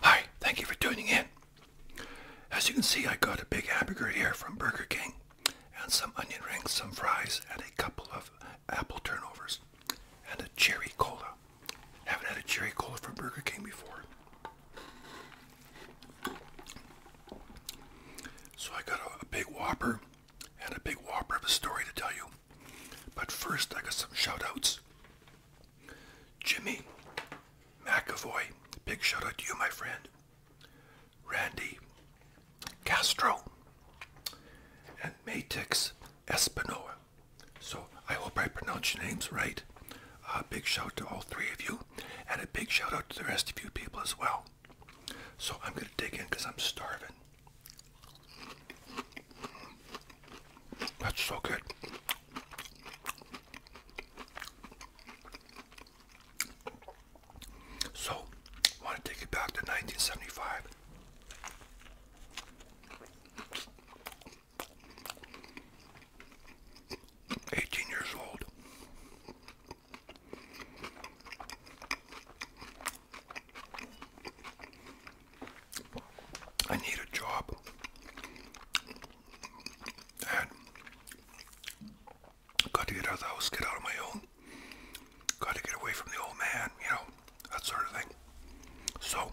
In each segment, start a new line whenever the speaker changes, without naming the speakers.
Hi, thank you for tuning in. As you can see, I got a big hamburger here from Burger King and some onion rings, some fries, and a couple of apple turnovers and a cherry cola. Haven't had a cherry cola from Burger King before. So I got a, big whopper and a big whopper of a story to tell you. But first I got some shout outs. Jimmy McAvoy, big shout out to you my friend. Randy Castro and Matix Espinoa. So I hope I pronounce your names right. A big shout out to all three of you, and a big shout out to the rest of you people as well. So I'm going to dig in because I'm starving. That's so good. So, want to take it back to 1975. 18 years old. I need a job. And got to get out of the house, get out on my own. Got to get away from the old man, you know, that sort of thing. So,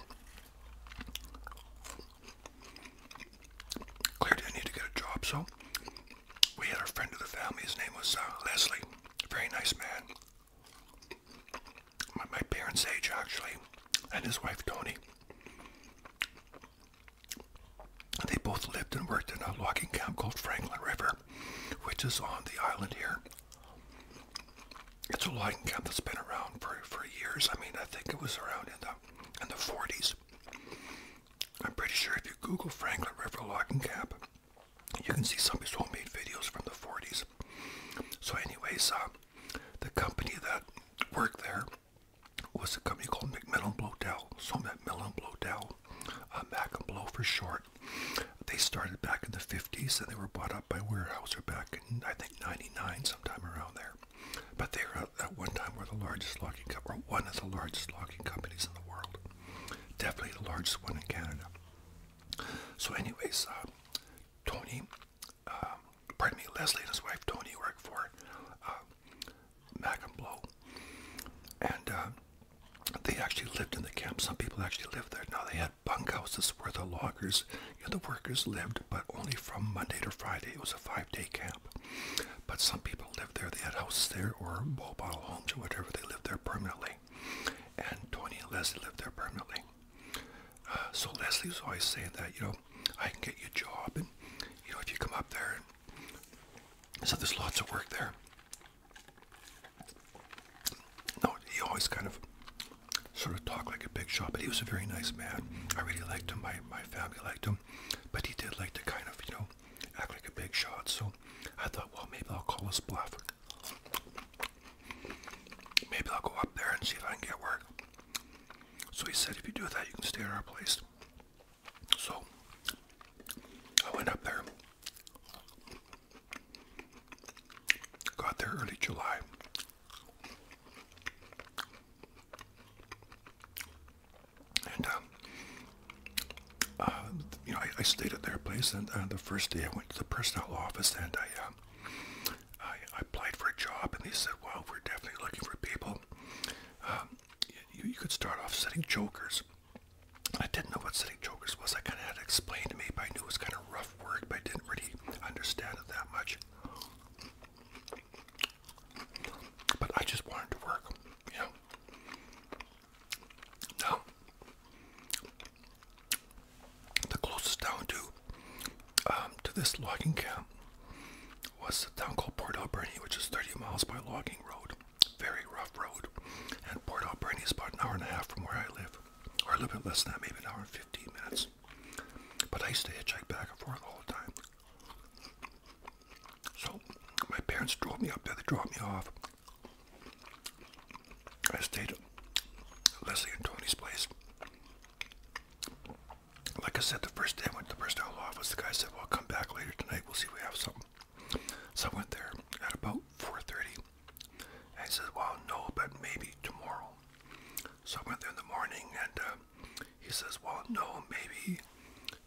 Clearly, I need to get a job, so we had a friend of the family. His name was uh, Leslie. Very nice man. My, parents' age, actually, and his wife, Tony. they both lived and worked in a logging camp called Franklin River, which is on the island here. It's a logging camp that's been around for, for years. I mean, I think it was around in the in the 40s. I'm pretty sure if you Google Franklin River logging Cap, you can see some of his homemade videos from the 40s. So, anyways, uh, the company that worked there was a company called McMillan Blodell. So Macmillan Blodell, uh, Mac for short. They started back in the 50s and they were bought up by Weyerhaeuser back in, I think, 99, sometime around there. But they were uh, at one time were the largest logging or one of the largest logging companies in the world. Definitely the largest one in Canada. So anyways, uh, Tony, uh, Leslie and his wife Tony worked for uh, Mac and Blow. And uh, they actually lived in the camp. Some people actually lived there. Now they had bunkhouses where the loggers you know, the workers lived, but only from Monday to Friday. It was a five-day camp. But some people lived there. They had houses there or mobile homes or whatever. They lived there permanently. And Tony and Leslie lived there permanently. Uh, so Leslie was always saying that, you know, I can get you a job. And, you know, if you come up there. so there's lots of work there. No, he always kind of sort of talked like a big shot, but he was a very nice man. I really liked him. My, my family liked him, but he did like to kind of, you know, act like a big shot. So I thought, well, maybe I'll call his bluff. Maybe I'll go up there and see if I can get work. So he said, if you do that, you can stay at our place. So I went up there. Got there early July. And, um, uh, you know, I, I stayed at their place, and uh, the first day I went to the personnel office, and I, um, I, I applied for a job, and they said, "Well, we're definitely looking for people. Um, you, you could start off setting jokers." I didn't know what setting jokers was. I kind of had it explained to me, but I knew it was kind of rough work, but I didn't really understand it that much. But I just wanted to work, you know. Now, the closest town to um, to this logging camp was the town called Port Alberni, which is 30 miles by logging road, very rough road. And Port Alberni is about an hour and a half from where I live, or a little bit less than that, maybe an hour and 15 minutes. But I used to hitchhike back and forth all the time. So my parents drove me up there, they dropped me off. I stayed at Leslie and Tony's place. Like I said, the first day I went to the first outlaw office, the guy said, well, come back later tonight, we'll see if we have something. So I went there at about 4.30. I said, well, no, but maybe tomorrow. So I went there in the morning and uh, he says, well, no, maybe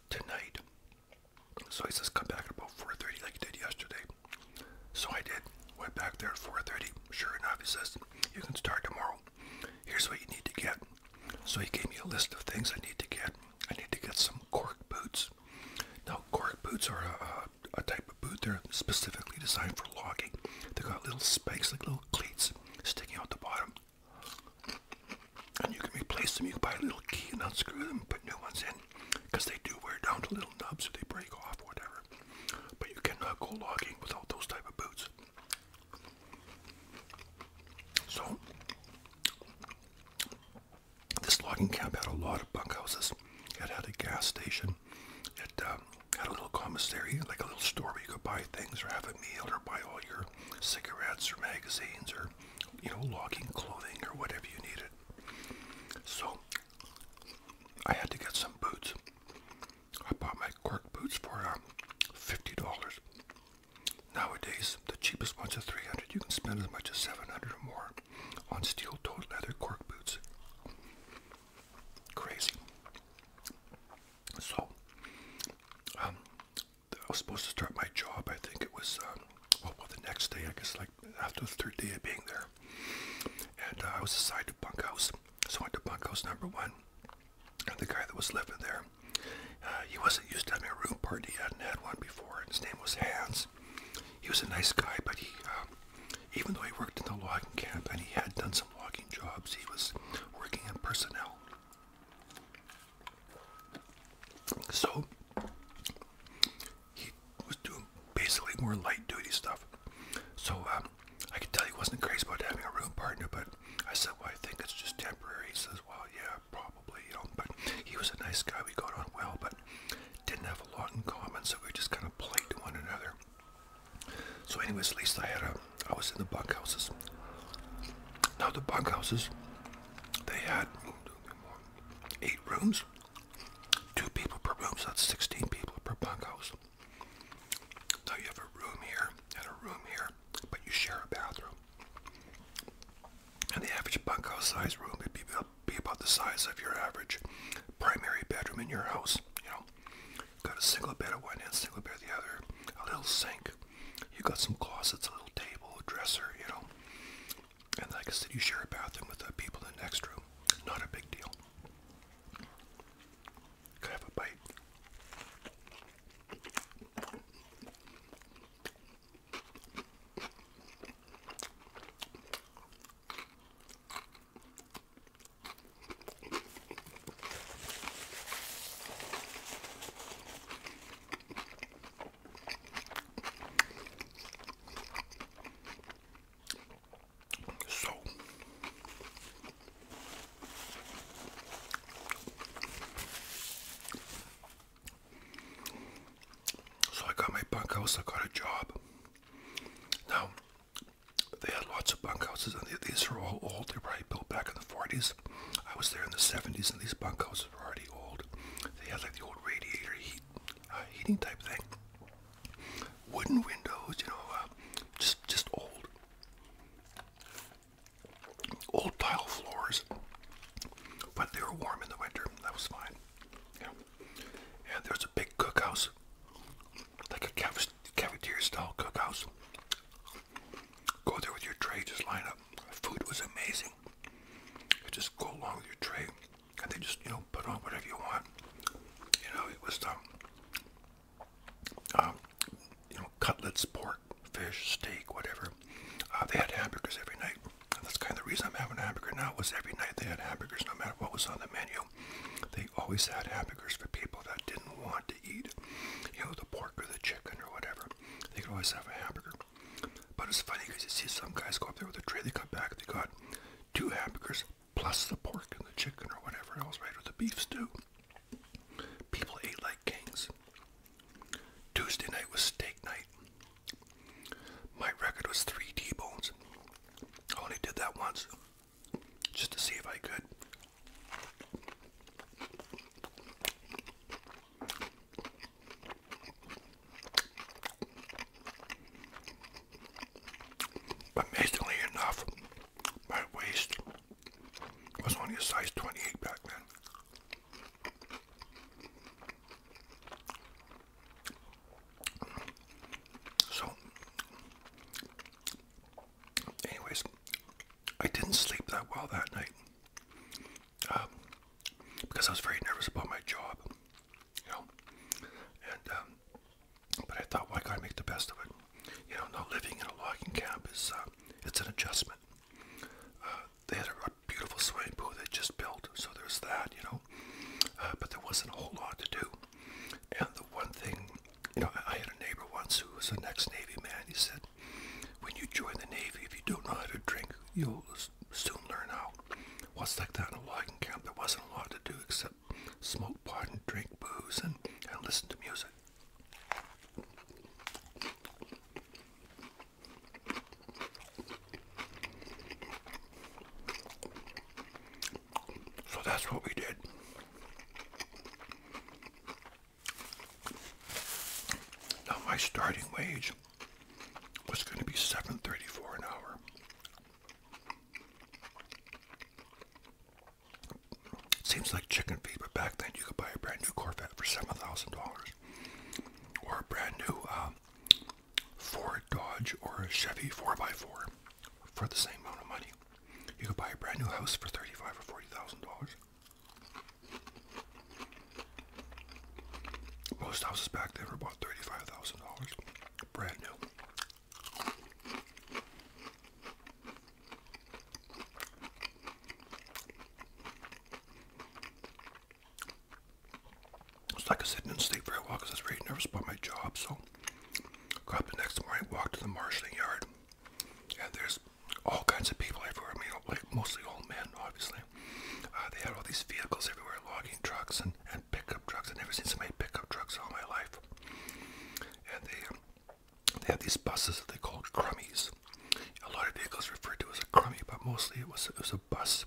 tonight. So he says, come back at about 4.30 like you did yesterday. So I did. Went back there at 4.30. Sure enough, he says, you can start tomorrow. Here's what you need to get. So he gave me a list of things I need to get. I need to get some cork boots. Now, cork boots are a, a type of boot. They're specifically designed for logging. They've got little spikes, like little cleats, sticking out the bottom. And you can replace them. You can buy a little key and unscrew them put new ones in they do wear down to little nubs or they break off whatever. But you cannot uh, go logging without those type of boots. So, this logging camp had a lot of bunkhouses. It had a gas station. It uh, had a little commissary, like a little store where you could buy things or have a meal or buy all your or cigarettes or magazines or you know logging clothing or whatever you needed. So I had to get some boots. I bought my cork boots for um, fifty dollars. Nowadays, the cheapest ones are three hundred. You can spend as much as seven hundred or more on steel-toed leather cork boots. Crazy. So, um, I was supposed to start my job. I think it was um, well, well, the next day. I guess like after the third day of being there, and uh, I was assigned to bunkhouse. So I went to bunkhouse number one, and the guy that was living there, uh, he wasn't used to having a room party. He hadn't had one before. And his name was Hans. He was a nice guy, but he, um, even though he worked in the logging camp and he had done some logging jobs, he was working in personnel. So he was doing basically more light duty stuff. So um, I can tell he wasn't crazy about having a room partner, but I said, well, I think it's just temporary. He says, well, yeah, probably, you know, but he was a nice guy. We got on well, but didn't have a lot in common, so we just kind of played to one another. So anyways, at least I had a I was in the bunkhouses. Now the bunkhouses, they had eight rooms, two people per room, so that's 16 people per bunkhouse. Now you have a room here and a room here, but you share a bathroom. And the average bunkhouse size room would be, be about the size of your average primary bedroom in your house, you know. Got a single bed at one end, single bed at the other. A little sink. You got some closets, a little table, a dresser, you know. And like I said, you share a bathroom with the people in the next room. Not a big deal. Could I a bite? So so I got my bunkhouse, I got a job. Now they had lots of bunkhouses and these are all old, they are probably built back in the 40s. I was there in the 70s, and these bunkhouses were already old. They had like the old radiator heat, uh, heating type thing. Wooden windows, you know, uh, just just old, old tile floors. But they were warm in the winter. That was fine. Yeah. And there's a big cookhouse, like a cafeteria-style cookhouse. Go there with your tray, just line up. Food was amazing. You just go along with your tray, and they just you know put on whatever you want. You know it was um, um you know cutlets, pork, fish, steak, whatever. Uh, they had hamburgers every night. And that's kind of the reason I'm having a hamburger now. Was every night they had hamburgers, no matter what was on the menu. They always had hamburgers for people that didn't want eat, you know, the pork or the chicken or whatever. They could always have a hamburger. But it's funny because you see some guys go up there with a tray, they come back, they got two hamburgers plus the pork and the chicken or whatever else, right, or the beef stew. People ate like kings. Tuesday night was steak night. My record was three T-bones. I only did that once just to see if I could. Amazingly enough, my waist was only a size 28 back then. So, anyways, I didn't sleep that well that night um, because I was very nervous about my job, you know. And um, but I thought, well, I gotta make the best of it. You know, now living in a logging camp is uh, it's an adjustment. Uh, they had a, a beautiful swimming pool they just built, so there's that, you know. Uh, but there wasn't a whole lot to do. And the one thing, you know, I, I had a neighbor once who was an ex-Navy man. He said, when you join the Navy, if you don't know how to drink, you'll soon learn how. Was like that in a logging camp. There wasn't a lot to do except smoke pot and drink booze and, and listen to music. So that's what we did. Now my starting wage was going to be seven thirty-four an hour. Seems like chicken feed, but back then you could buy a brand new Corvette for seven thousand dollars, or a brand new um, Ford Dodge or Chevy four x four for the same amount of money. You could buy a brand new house for thirty-five or forty thousand dollars. Most houses back there were about thirty-five thousand dollars, brand new. It's like I said, didn't sleep very well because I was very nervous about my job. So, got up the next morning, walked to the marshalling yard, and there's all kinds of people everywhere. I mean, like mostly old men, obviously. Uh, they had all these vehicles everywhere, logging trucks and, and pickup trucks. I've never seen so many pickup trucks all my life. And they um, they had these buses that they called crummies. A lot of vehicles referred to as a crummy, but mostly it was it was a bus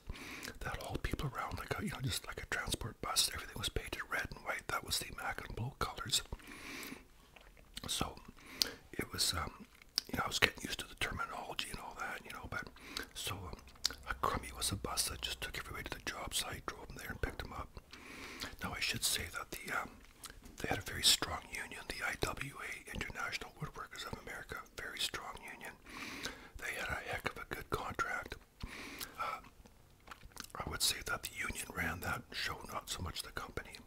that hauled people around, like a, you know, just like a transport bus. Everything was painted red and white. That was the Mac and Blue colors. So it was um, you know, I was getting used to the terminology and all that, you know, but so um, a crummy was a bus that just took everybody to the job site, drove them there and picked them up. Now I should say that the um, they had a very strong union, the IWA, International Woodworkers of America, very strong union. They had a heck of a good contract. Uh, I would say that the union ran that show, not so much the company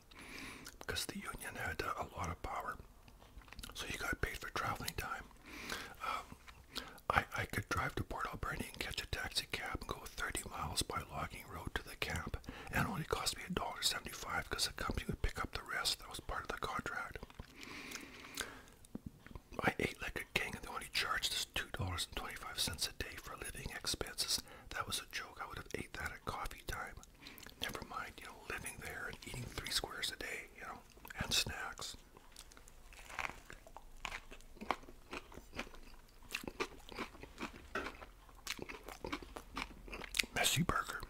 because the union had a lot of power. So you got paid for traveling time. Um, I, I could drive to Port Alberni and catch a taxi cab and go 30 miles by logging road to the camp, and it only cost me $1.75 because the company would pick up the rest. That was part of the contract. I ate like a king, and they only charged us $2.25 a day for living expenses. That was a joke. I would have ate that at coffee time. Never mind, you know, living there and eating three squares a day, you know, and snacks. Messy burger.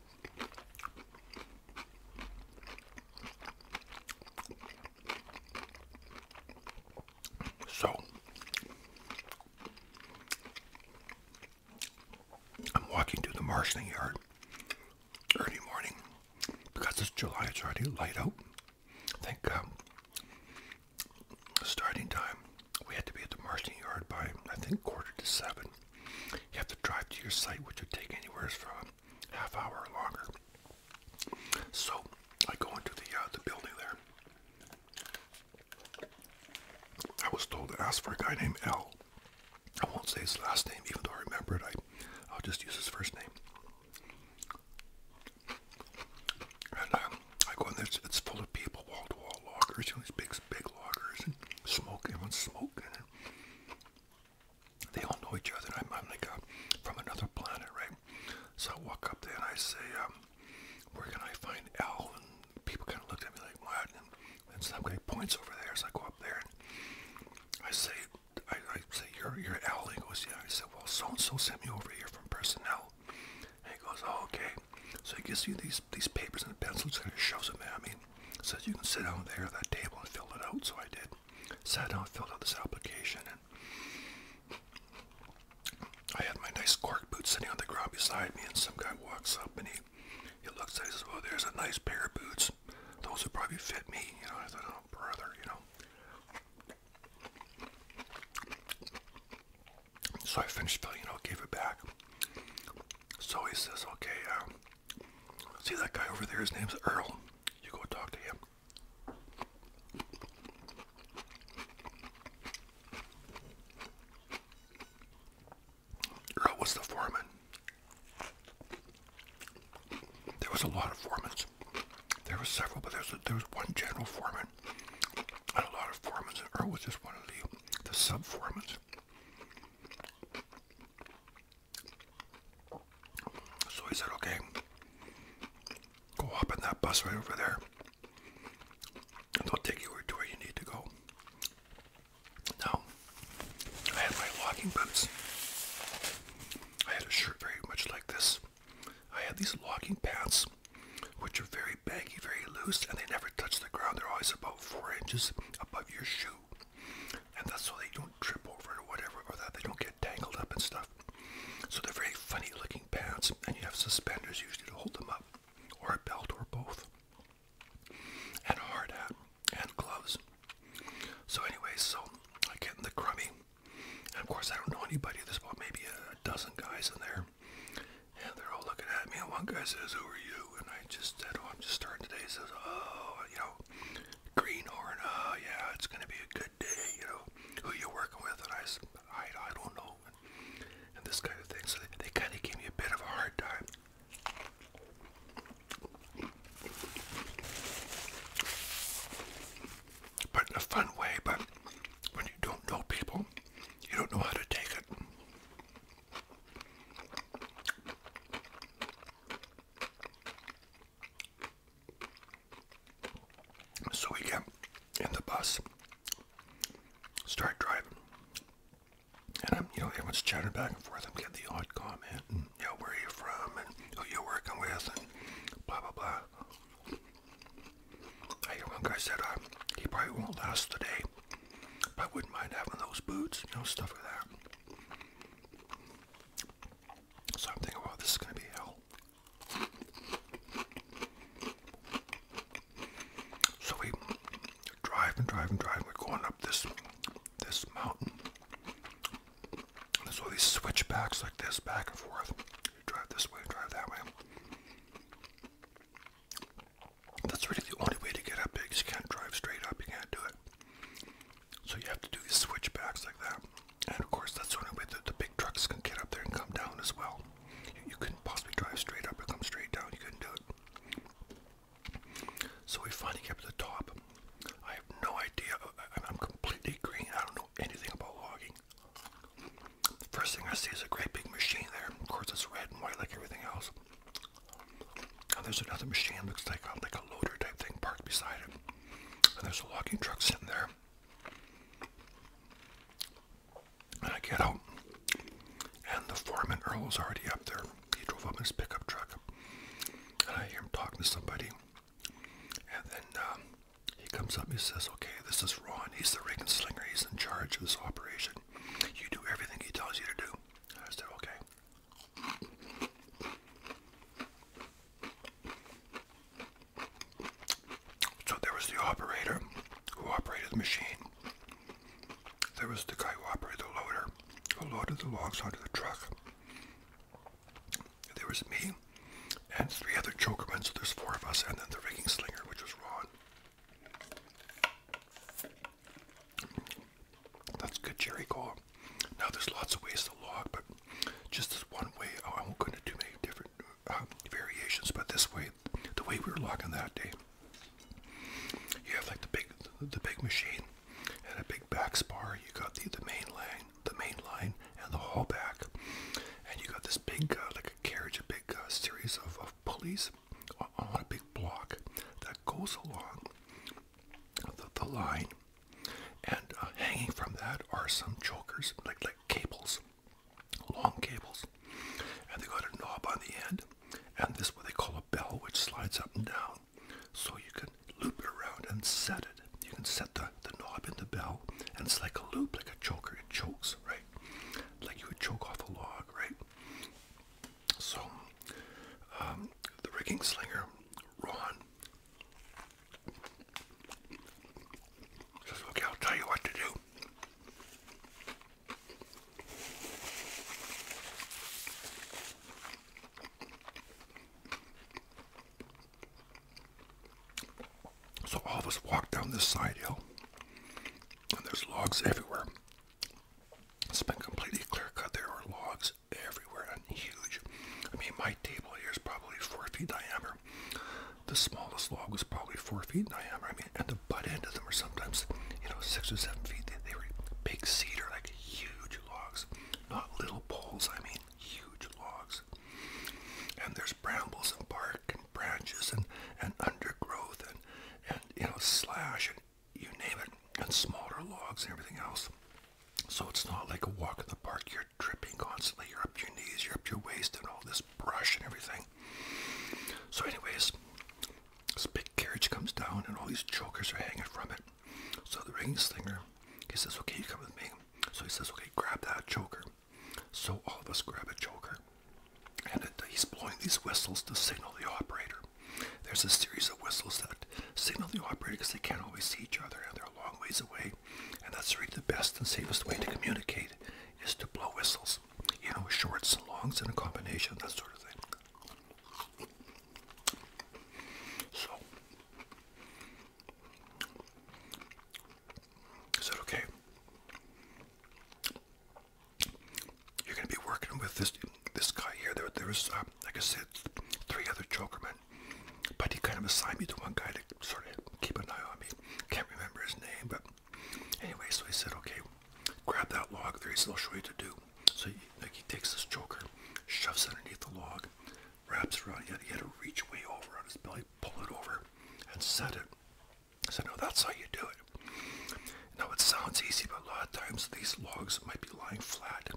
So, I'm walking to the marshalling yard early morning because it's July, it's already light out. I think um, starting time, we had to be at the marshalling yard by, I think, quarter to seven. You have to drive to your site, which would take anywhere from half hour or longer. So I go into the, uh, the building there. I was told to ask for a guy named L. I won't say his last name, even though I remember it. I, I'll just use his first name. And um, I go in there, it's, full of people, wall-to-wall -wall you know, these big, big lockers, and smoke, everyone's smoking. they all know each other, I'm, like a, uh, from another planet, right? So I walk up there and I say, um, where can I find Al? And people kind of looked at me like, what? And, and some guy points over there, so I go up there and I say, I, I say, you're, you're Al? He goes, yeah. I said, well, so-and-so sent me over here from personnel. And he goes, oh, okay. So he gives you these, these papers and pencils and shows them at me. Says, you can sit down there at that table and fill it out. So I did. Sat down, filled out this application, and I had my nice cork boot sitting on the ground beside me, and some guy walks up and he day. He looks at it, says, well, there's a nice pair of boots. Those would probably fit me. You know, I thought, oh, brother, you know. So I finished filling it out, gave it back. So he says, okay, um, see that guy over there? His name's Earl. You go talk to him. Earl was the foreman. There was a lot of foremen. There were several, but there was, one general foreman and a lot of foremen. And Earl was just one of the, the sub-foremen. So he said, okay, go up in that bus right over there. And i will take you where to where you need to go. No, I had my walking boots. I had a shirt very much like this. I had these walking pants, which are very baggy, very loose, and they never touch the ground. They're always about four inches above your shoe. And that's so they don't trip over or whatever, or that they don't get tangled up and stuff. So they're very funny looking pants, and you have suspenders usually to hold them up, or a belt, or both and hard hat and gloves. So anyway, so I get in the crummy. And of course, I don't know anybody. There's about maybe a dozen guys in there. And they're all looking at me. And one guy says, who are you? And I just said, oh, I'm just starting today. He says, oh, you know, Greenhorn. Oh, yeah, it's going to be a good day. You know, who you working with? And I said, I, I don't know and this kind of thing. So they, kind of gave me a bit of a hard time. But in a fun way, but when you don't know people, you don't know how to take it. So we get in the bus, start driving. And I'm, you know, everyone's chatting back and forth. I'm getting the odd comment, and, you know, where are you from, and who you working with, and blah, blah, blah. I hear one guy said, uh, he probably won't last the day, but I wouldn't mind having those boots, you know, stuff like that. So I'm thinking, wow, this is going to be hell. So we drive and drive and drive. We're going up this this mountain. There's all these switchbacks like this, back and forth. drive this way, drive that way. That's really the only way to get up there. You can't drive straight up. You can't do it. So you have to do these switchbacks like that. And of course, that's the only way that the big trucks can get up there and come down as well. You, couldn't possibly drive straight up and come straight down. You couldn't do it. So we finally get to the top. I have no idea. I'm completely green. I don't know anything about logging. first thing I see is a great big machine there. Of course, it's red and white like everything else. And there's another machine. Looks like a, um, like a loader type thing parked beside it. And there's a logging truck sitting there. And I get out, and the foreman Earl is already up there. He drove up in his pickup truck, and I hear him talking to somebody. And then um, he comes up and he says, Okay, this is Ron. He's the rig slinger. He's in charge of this operation. You do everything he tells you to do. I said, Okay. So there was the operator who operated the machine. There was the guy who operated the loader, who loaded the logs onto the truck. There was me and three other choker men. so there's four of us, and then the rigging slinger, which was Ron. That's good, Jerry Cole. Now there's lots of ways to log, but just this one way. I won't go into too many different uh, variations, but this way, the way we were logging that day, you have like the big the big machine and a big back spar. You got the the main line, the main line, and the haul back, and you got this big uh, like carriage, a big uh, series of, pulleys on, a big block that goes along the, line, and uh, hanging from that are some chokers like like cables, long cables and they got a knob on the end, and this what they call a bell, which slides up and down, so you can loop it around and set it. You can set the, the knob in the bell, and it's like a loop, like a choker. It chokes, right? Like you would choke off a log, right? So, um, the rigging slinger, Ron. okay, I'll tell you what to do. So all of us walk down this side hill, and there's logs everywhere. It's been completely clear cut. There are logs everywhere and huge. I mean, my table here is probably four feet diameter. The smallest log was probably four feet diameter. I mean, and the the butt end of them are sometimes, you know, six or seven feet. They, they were big cedar, like huge logs, not little poles. I mean, huge logs. And there's brambles and bark and branches and and undergrowth and and you know slash and you name it and smaller logs and everything else. So it's not like a walk in the park. You're tripping constantly. You're up to your knees. You're up to your waist and all this brush and everything. So, anyways, this big carriage comes down and all these chokers are hanging from it. So the ring slinger, he says, okay, you come with me. So he says, okay, grab that choker." So all of us grab a choker, And he's blowing these whistles to signal the operator. There's a series of whistles that signal the operator because they can't always see each other and they're a long ways away. And that's really the best and safest way to communicate is to blow whistles. You know, shorts and longs and a combination, that sort of thing. So, is that okay? You're gonna be working with this this guy here. There, there was uh, like I said, three other Joker men, but he kind of assigned me to one guy to sort of keep an eye on me. Can't remember his name, but Anyway, so he said, okay, grab that log There's a little show you to do. So he, like, he takes this choker, shoves underneath the log, wraps around. He had, to reach way over on his belly, pull it over, and set it. So said, no, that's how you do it. Now, it sounds easy, but a lot of times these logs might be lying flat.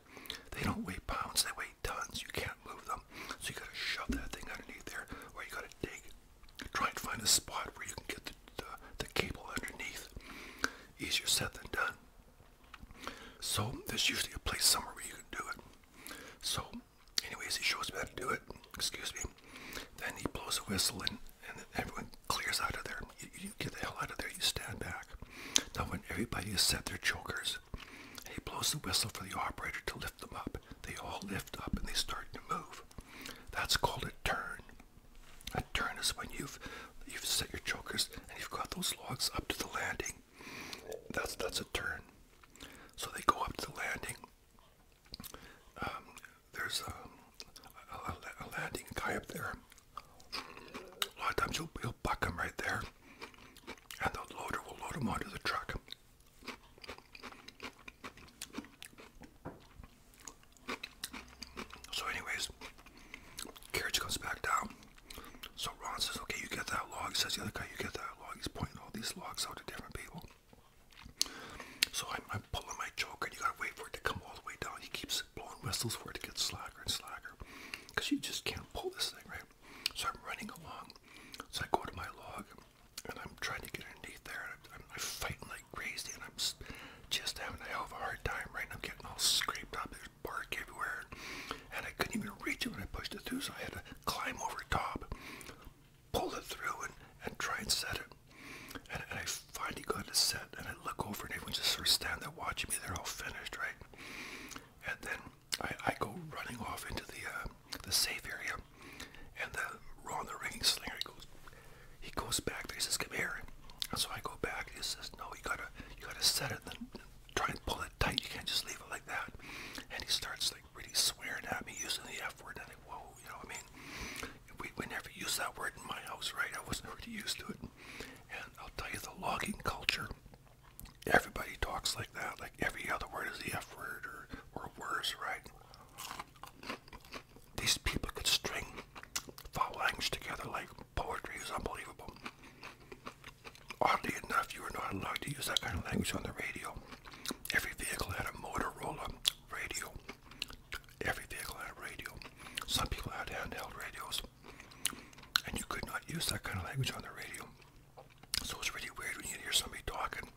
They don't weigh pounds, they weigh tons. You can't move them. So you gotta shove that thing underneath there, or you gotta dig. Try and find a spot where you can get the the, cable underneath. Easier said than done. So there's usually a place somewhere where you can do it. So anyways, he shows me how to do it. Excuse me. Then he blows a whistle and, and everyone clears out of there. You, you get the hell out of there. You stand back. Now when everybody has set their chokers, he blows the whistle for the operator to lift them up. They all lift up and they start to move. That's called a turn. A turn is when you've you've set your chokers and you've got those logs up to the landing. That's that's a turn. So they go up to the landing. Um, there's um, a, landing guy up there. A lot of times you'll, you'll buck him right there, and the loader will load him onto the truck. So, anyways, carriage comes back down. So Ron says, "Okay, you get that log." says the other guy, "You get that log." He's pointing all these logs out to different people. So I'm, pulling my choker, and you gotta wait for it to come all the way down. He keeps blowing whistles for it to get slacker and slacker, you just can't pull this thing, right? So I'm running along. So I go to my log, and I'm trying to get underneath there. And I'm, like crazy, and I'm just having a hell of a hard time right I'm getting all scraped up. There's bark everywhere, and I couldn't even reach it when I pushed it through, so I had to climb over top, pull it through, and, and try and set it. And, I finally got it set, and I look over, and everyone's just sort of standing there watching me. They're all finished, right? And then I, I go running off into the uh, the safe area, and the Ron the ringing slinger goes he goes back there. He says, "Come here." And so I go back. He says, "No, you gotta, you gotta set it. Then try and pull it tight. You can't just leave it like that." And he starts like really swearing at me, using the F word. And I think, "Whoa, you know, what I mean, we, we never use that word in my house, right? I wasn't really used to it." And I'll tell you, the logging culture. Everybody talks like that. Like every other word is the F word or or worse, right? These people could string foul language together like poetry is unbelievable. Oddly enough, you were not allowed to use that kind of language on the radio. Every vehicle had a Motorola radio. Every vehicle had a radio. Some people had handheld radios. And you could not use that kind of language on the radio. So it's really weird when you hear somebody talking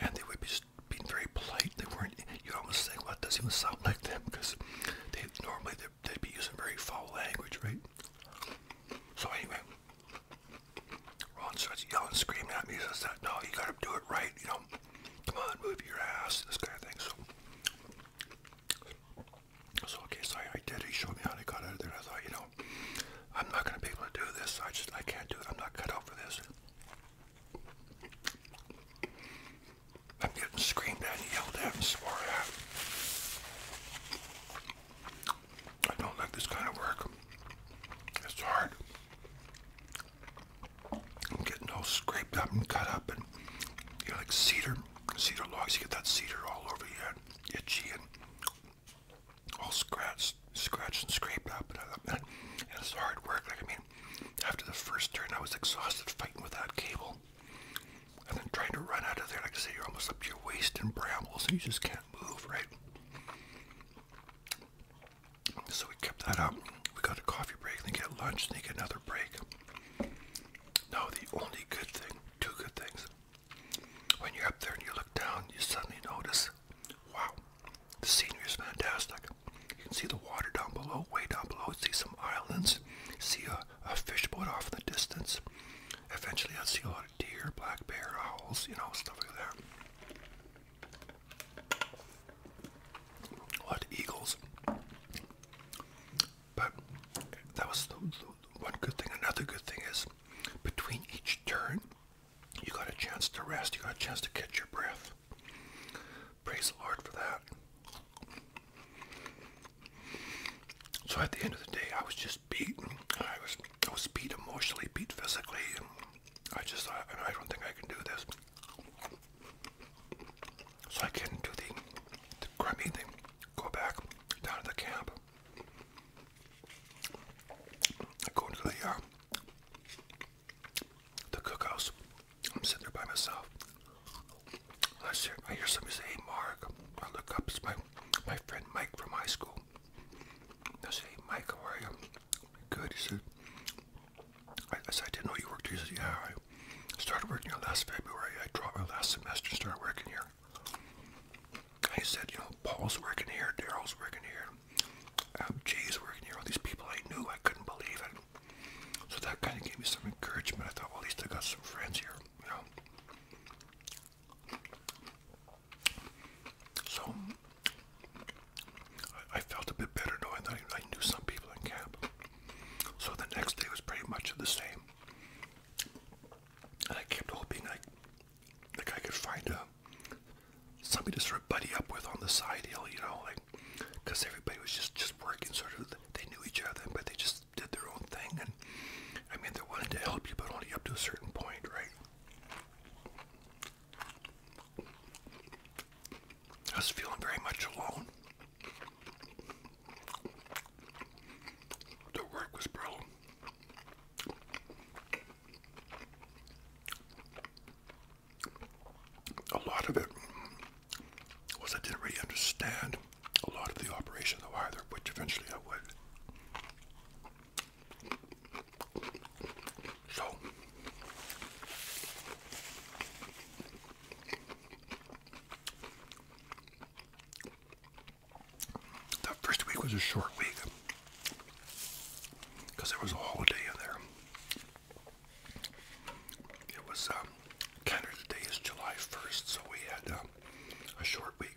and they would be being very polite. They weren't. You almost think, well, it doesn't even sound like them because they normally they'd, they'd be using very foul language, right? So anyway, Ron starts yelling, screaming at me. He says that no, you gotta do it right. You know, come on, move your ass. This kind of thing. So. So okay, so I, I did. He showed me how to got out of there. I thought, you know, I'm not gonna be able to do this. I just I can't do it. I'm not cut out for this. I'm getting screamed at yelled at swore at. I don't like this kind of work. It's hard. I'm getting all scraped up and cut up and you know, like cedar, cedar logs. You get that cedar all over you, and itchy and all scratched, scratched and scraped up. And, and it's hard work. Like I mean, after the first turn, I was exhausted fighting with that cable. And then trying to run out of there, like I say, you're almost up to your waist in brambles and you just can't move, right? So we kept that up. We got a coffee break, then get lunch, then get another break. No, the only good thing, two good things, when you're up there and you look down, you suddenly notice, wow, the scenery is fantastic. You can see the water down below, way down below. See some islands. See a, fish boat off in the distance. Eventually, I will see a lot of deer, black bear, owls, you know, stuff like that. A eagles. But that was the, one good thing. Another good thing is between each turn, you got a chance to rest. You got a chance to catch your breath. Praise the Lord for that. So at the end of the day, I was just beat. I was I was beat emotionally, beat physically. I just thought, I don't think I can do this. So I get into the, the crummy thing, go back down to the camp. I go into the uh, the cookhouse. I'm sitting there by myself. I hear, I hear somebody say, Mark. I look up, it's my, my friend Mike from high school. I say, Mike, how are you? Good. He said, I, said, I didn't know you worked here. He said, yeah, I started working here last February. I dropped my last semester and started working here. He said, you know, Paul's working here, Daryl's working here, um, Jay's working here, all these people I knew, I couldn't believe it. So that kind of gave me some encouragement. I thought, well, at least I got some friends here, you know. So I, felt a bit better knowing that I, knew some people in camp. So the next day was pretty much the same. And I kept hoping I, like I could find uh, somebody to sort of buddy up with on the side hill, you know, like because everybody was just just working sort of they knew each other but they just did their own thing and I mean they wanted to help you but only up to a certain point right I was feeling very much alone the work was brutal a lot of it was I didn't really understand a lot of the operation though either, which eventually I would. So that first week was a short week because there was a holiday in there. It was um, Canada Day is July 1st, so we had um, a short week.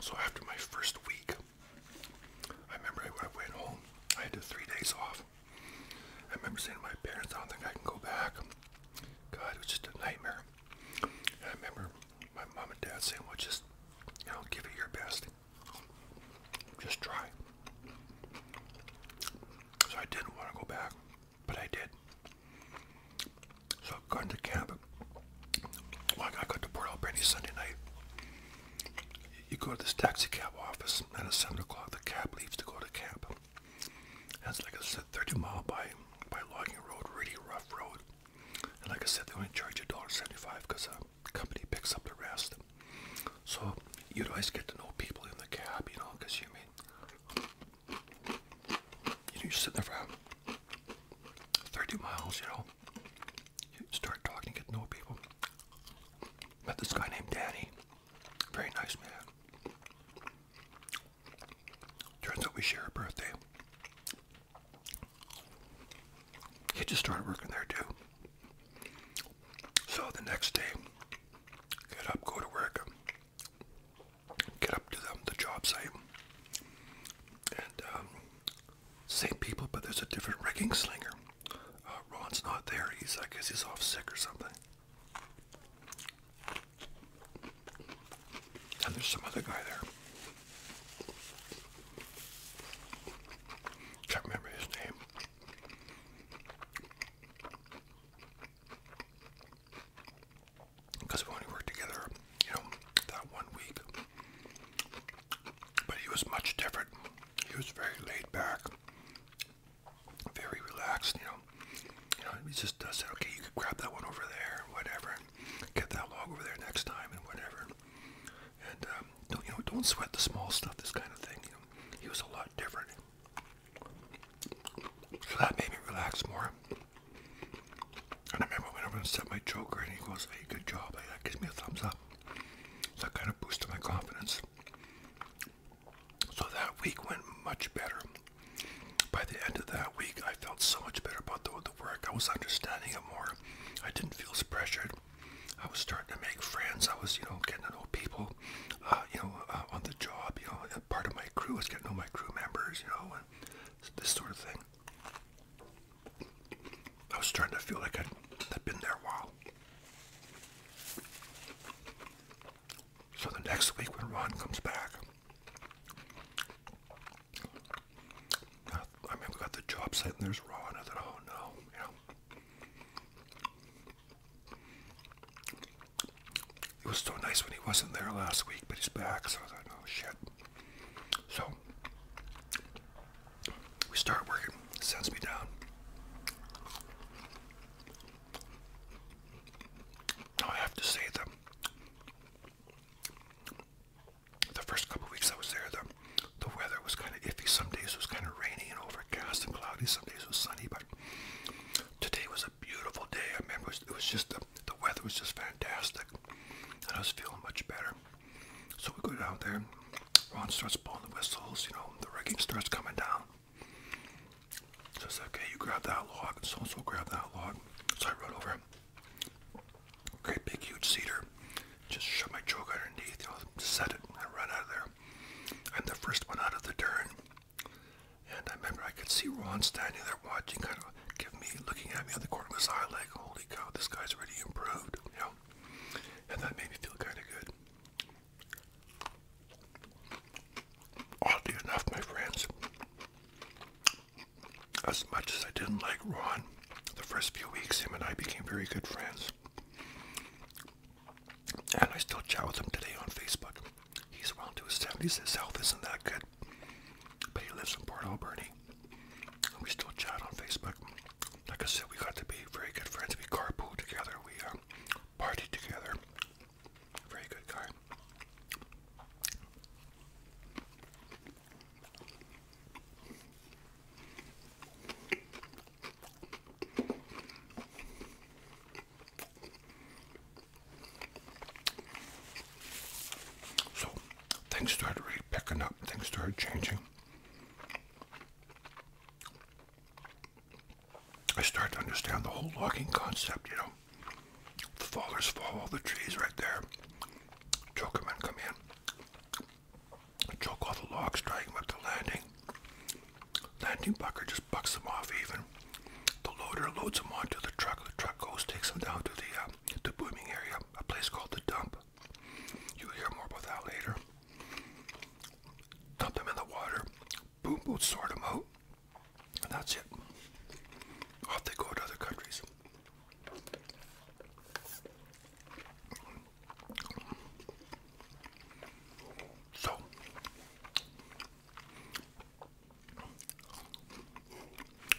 So after my first week, I remember I, went home. I had three days off. I remember saying to my parents, I don't think I can go back. God, it was just a nightmare. I remember my mom and dad saying, well, just, you know, give it your best. Just try. So I didn't want to go back, but I did. So I got camp. I got to Port Alberni Sunday night. You go to this taxi cab office, at 7 o'clock the cab leaves to go to camp. And it's like I said, 30 mile by, by logging road, really rough road. And like I said, they only charge you $1.75 because uh, company picks up the rest. So you'd always get to know people in the cab, you know, because you mean, you know, you're sitting there for 30 miles, you know. You start talking, get to know people. Met this guy named Danny. Very nice man. Turns out we share a birthday. He just started working there too. So the next day, get up, go to work, get up to the, the job site, and um, same people, but there's a different rigging slinger. Uh, Ron's not there. He's, I guess, he's off sick or something. And there's some other guy there. Can't remember his name. Because we only worked together, you know, that one week. But he was much different. He was very laid back, very relaxed, you know. he just uh, said, okay, you can grab that one over there, whatever, and get that log over there next time, and whatever and um, don't you know don't sweat the small stuff this kind of thing he was a lot different so that made me relax more and I remember when everyone set my joker and he goes hey good job that gives me a thumbs up that kind of boosted my confidence so that week went much better by the end of that week I felt so much better about the, work I was understanding it more I didn't feel pressured I was starting to make friends. I was, you know, getting to know people, uh, you know, uh, on the job. You know, and part of my crew I was getting to know my crew members. You know, and this sort of thing. I was starting to feel like I'd, I'd been there a while. So the next week when Ron comes back, uh, I mean, we got the job site and there's Ron. I thought, oh no, you know. It was so nice when he wasn't there last week, but he's back, so I thought, oh, no shit. So, we start working. Sends me down. Now I have to say that the first couple weeks I was there, the the weather was kind of iffy. Some days it was kind of rainy and overcast and cloudy. Some days it was sunny, but today was a beautiful day. I remember it was, just the, weather was just fantastic, and I was feeling much better. So we go down there. Ron starts blowing the whistles. You know, the rigging starts coming down. So I said, "Okay, you grab that log," and so and so grabbed that log. So I rode over. Great big huge cedar. Just shove my choke underneath, you know, set it, and run out of there. I'm the first one out of the turn. And I remember I could see Ron standing there watching, kind of giving me, looking at me on the corner of his eye, like, holy cow, this guy's already improved, you know? And that made me feel kind of good. Oddly enough, my friends, as much as I didn't like Ron, the first few weeks, him and I became very good friends. And I still chat with him today on Facebook. He's around to his 70s. His health isn't that good. But he lives in Port Alberni. And we still chat on Facebook. Like I said, we got to be very good friends. We carpool together. We um, party together. Very good guy. So things started really picking up, things started changing. I started to understand the whole logging concept, you know. The fallers fall, all the trees right there. Choke and come in choke all the logs, dragging him up to landing. Landing bucker just bucks them off even. The loader loads them onto the truck. The truck goes, takes them down to the, uh, the booming area, a place called the dump. You'll hear more about that later. Dump them in the water. Boom boats sort them out. And that's it. Off they go to other countries. So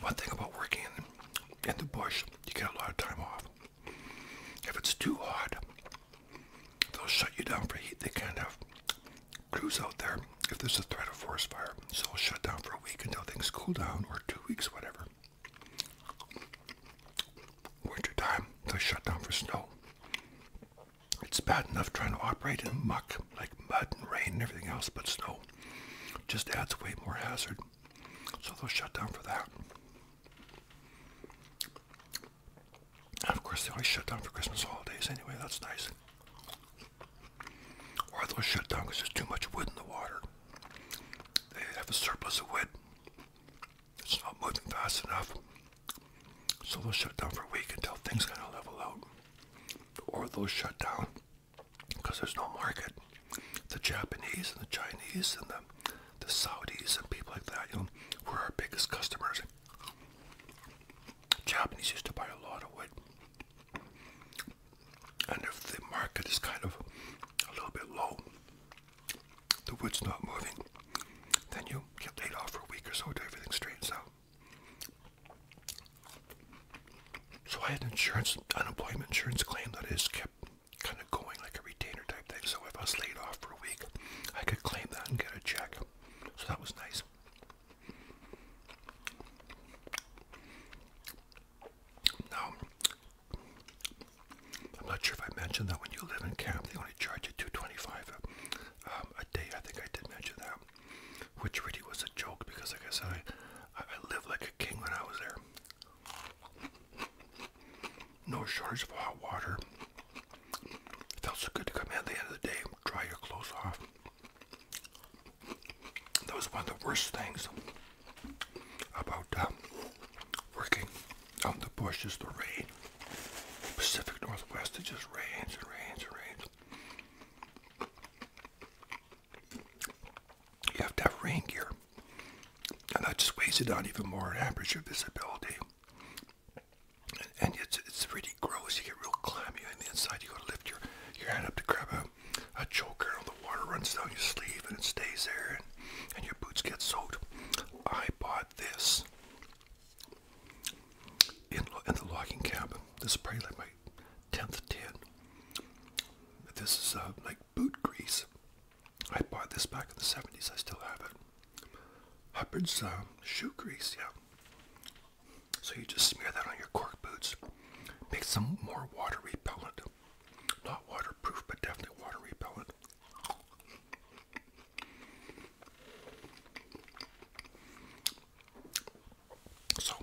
one thing about working in, the bush, you get a lot of time off. If it's too hot, they'll shut you down for heat. They can't have crews out there if there's a threat of forest fire. So they'll shut down for a week until things cool down or two weeks, whatever. Winter time, they shut down for snow. It's bad enough trying to operate in muck, like mud and rain and everything else, but snow just adds way more hazard. So they'll shut down for that. of course, they always shut down for Christmas holidays anyway, that's nice. Or they'll shut down because there's too much wood in the water. They have a surplus of wood, it's not moving fast enough. So they'll shut down for a week until things kind of level out. Or they'll shut down because there's no market. The Japanese and the Chinese and the, the Saudis and people like that, you know, were our biggest customers. Japanese used to buy a lot of wood. And if the market is kind of a little bit low, the wood's not moving, then you get laid off for a week or so till everything straightens out. So I had insurance, unemployment insurance claim that is kept kind of going like a retainer type thing. So if I was laid off for a week, I could claim that and get a check. So that was nice. Now, I'm not sure if I mentioned that when you live in camp, they only charge you 225 dollars um, a, day. I think I did mention that, which really was a joke because, like I said, I, I, lived like a king when I was there. No shortage of hot water. It felt so good to come in at the end of the day, dry your clothes off. That was one of the worst things about um, working in the bush is the rain. Pacific Northwest. It just rains and rains and rains. You have to have rain gear. And that just weighs it down even more. It hampers visibility. And, it's, it's really gross. You get real clammy on the inside. You got to lift your, your hand up to grab a, a choker and the water runs down your sleeve and it stays there and, and your boots get soaked. I bought this in, the logging cabin. This is probably like my 10th ten. This is uh, like boot grease. I bought this back in the 70s. I still have it. Hubbard's um, shoe grease, yeah. So you just smear that on your cork boots. Makes them more water repellent. Not waterproof, but definitely water repellent. So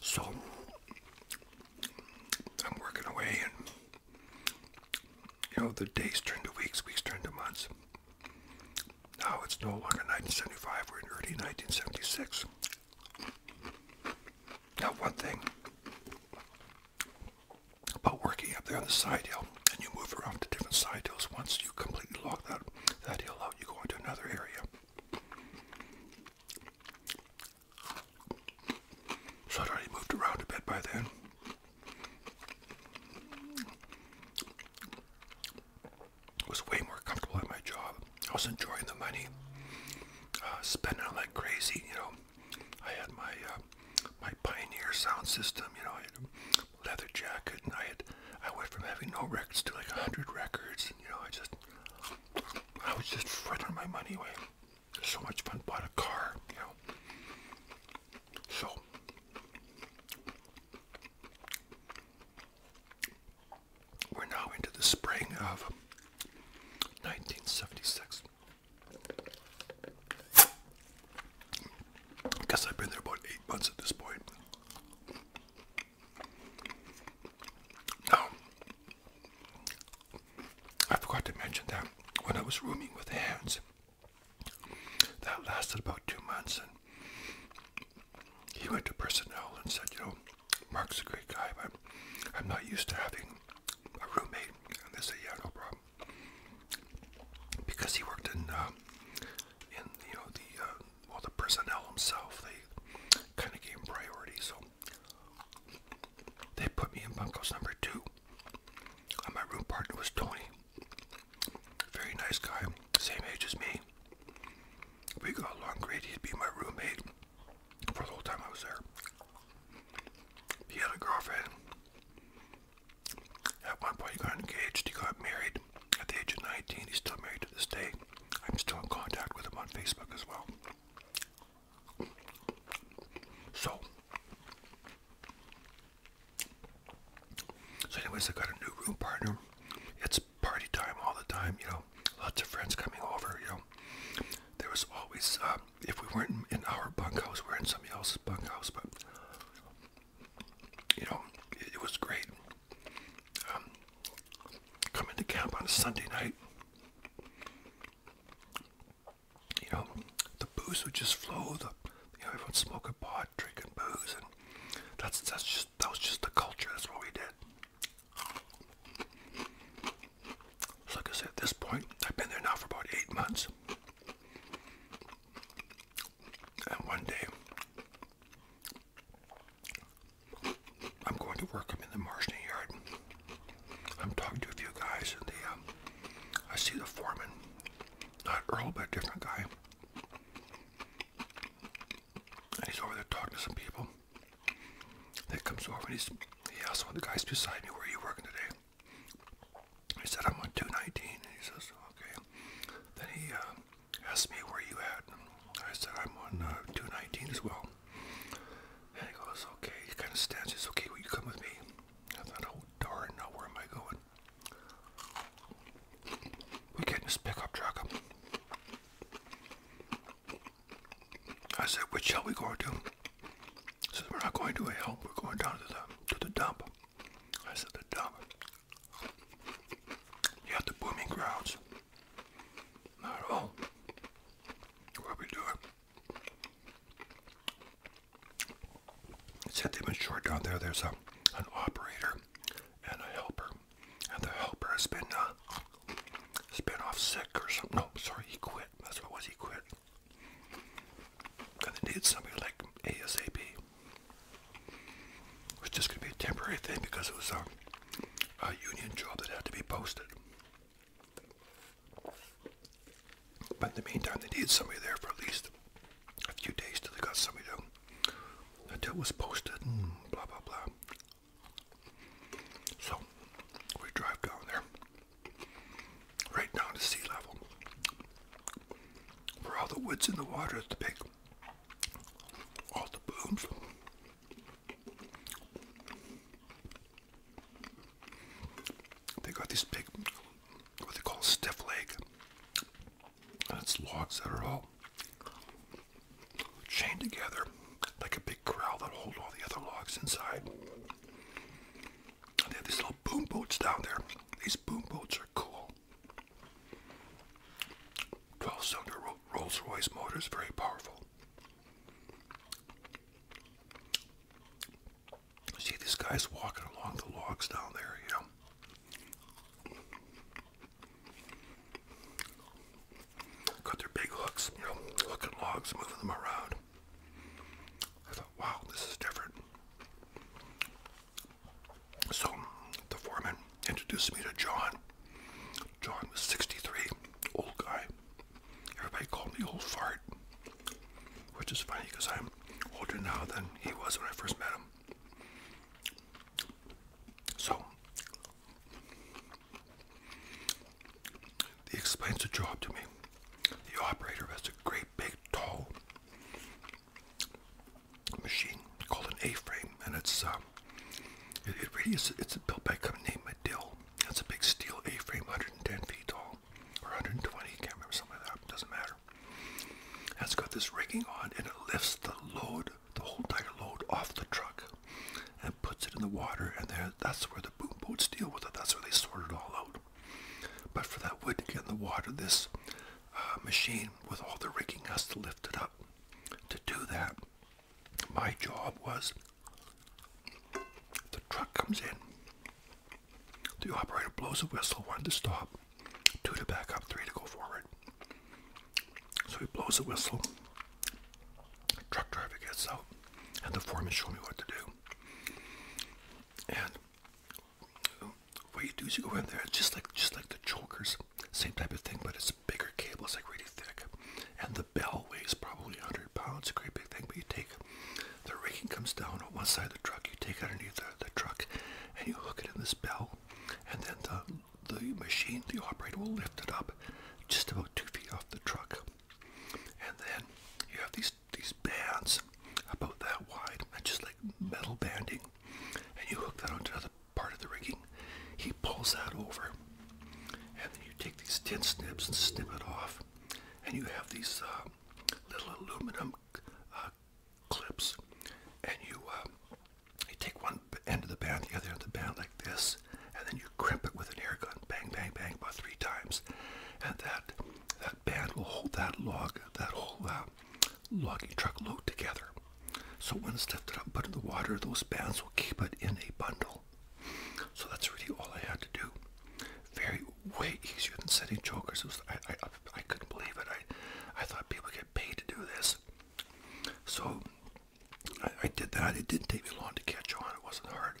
so I'm working away and you know the days turn to weeks, weeks turn to months. Now it's no longer 1975, we're in early 1976. Now, one thing about working up there on the side hill, and you move around to different side hills. Once you completely log that that hill out, you go into another area. So I'd already moved around a bit by then. I was way more comfortable at my job. I was enjoying the money uh, spending them like crazy. You know, I had my uh, my Pioneer sound system. You know, I had a leather jacket, and I had I went from having no records to like hundred records. And, you know, I just I was just frittering my money away. So much fun. Bought a car. You know, so. We're now into the spring of 1976. I guess I've been there about eight months at this point. Oh, I forgot to mention that when I was rooming with Hans, that lasted about two months, and he went to personnel and said, "You know, Mark's a great guy, but I'm not used to having a roommate, and they said, "Yeah, no problem," because he worked in, uh, in you know the uh, the personnel himself. They kind of gave him priority, so they put me in bunkhouse number two. Uh, my room partner was Tony, very nice guy, same age as me. We got along great. He'd be my roommate for the whole time I was there. He had a girlfriend. At one point, he got engaged. He got married at the age of 19. He's still married to this day. I'm still in contact with him on Facebook as well. So, so anyways, I got a new room partner. It's party time all the time, you know lots of friends coming over, you know. There was always, um, if we weren't in, in our bunkhouse, we were in somebody else's bunkhouse, but, you know, it, was great. Um, coming to camp on a Sunday night, you know, the booze would just flow, the, you know, everyone smoking pot, drinking booze, and that's, that's just, that was just the culture, that's what we did. Like I said, at this point, I've been there now for about eight months. And one day, I'm going to work. i in the marshalling yard. I'm talking to a few guys, and they, um, I see the foreman, not Earl, but a different guy. And he's over there talking to some people that comes over and he's, he asked one of the guys beside me, where are you working today? He said, I'm on 219. And he says, okay. Then he uh, asked me, where you at? I said, I'm on uh, 219 as well. And he goes, okay. He kind of stands. He says, okay, will you come with me? I thought, oh, darn, now where am I going? We get in this pickup truck. I said, which shall we go to? He says, we're not going to a help. we're going down to the, to the dump. I said, the dump? You have the booming grounds. Not at all. What we doing? It said they've been short down there. There's a, an operator and a helper. And the helper has been uh, he off sick or something. No, sorry, he quit. That's what was, he quit. they needed somebody like ASAP. It was just going to be a temporary thing because it was um, a, union job that had to be posted. But in the meantime, they needed somebody there for at least a few days till they got somebody to until it was posted and blah blah blah. So we drive down there, right down to sea level, where all the wood's in the water is the big, all the booms. They got these big, what they call stiff leg, it's logs that are all chained together like a big corral that hold all the other logs inside. They have these little boom boats down there. These boom boats are cool. 12 cylinder Rolls Royce motor is very powerful. See these guys walking along the logs down there, you know. Got their big hooks, you know, hooking logs, moving them around. I thought, wow, this is different. So the foreman introduced me to John. John was 63, old guy. Everybody called me Old Fart, which is funny because I'm older now than he was when I first met him. So he explains the job to me. The operator has a great big tall machine called an A-frame, and it's uh, It's built by a company named Medill. It's a big steel A-frame, 110 feet tall, or 120. I can't remember something like that. Doesn't matter. it's got this rigging on, and it lifts the load, the whole tire load, off the truck, and puts it in the water, and that's where the boom boats deal with it. That's where they sort it all out. But for that wood to get in the water, this uh, machine with all the rigging has to lift it up. To do that, my job was the truck comes in, the operator blows a whistle, one to stop, two to back up, three to go forward. So he blows a whistle, Truck driver gets out, and the foreman showed me what to do. And what you do is you go in there, just like just like the chokers, same type of thing, but it's bigger cable. It's like really thick, and the bell weighs probably 100 pounds. A great big thing. But you take the raking comes down on one side of the truck. You take underneath the, the truck, and you hook it in this bell, and then the the machine, the operator will lift it up just about two feet off the truck and then you have these these bands about that wide, just like metal banding, and you hook that onto another part of the rigging. He pulls that over, and then you take these tin snips and snip it off, and you have these uh, little aluminum uh, clips, and you uh, you take one end of the band, the other end of the band like this, and then you crimp it with an air gun, bang, bang, bang, about three times, and that that band will hold that log, that whole uh, logging truck load together. So when it's lifted up, put in the water, those bands will keep it in a bundle. So that's really all I had to do. Very way easier than setting chokers. Was, I, I, I couldn't believe it. I, I thought people get paid to do this. So I, I did that. It didn't take me long to catch on. It wasn't hard.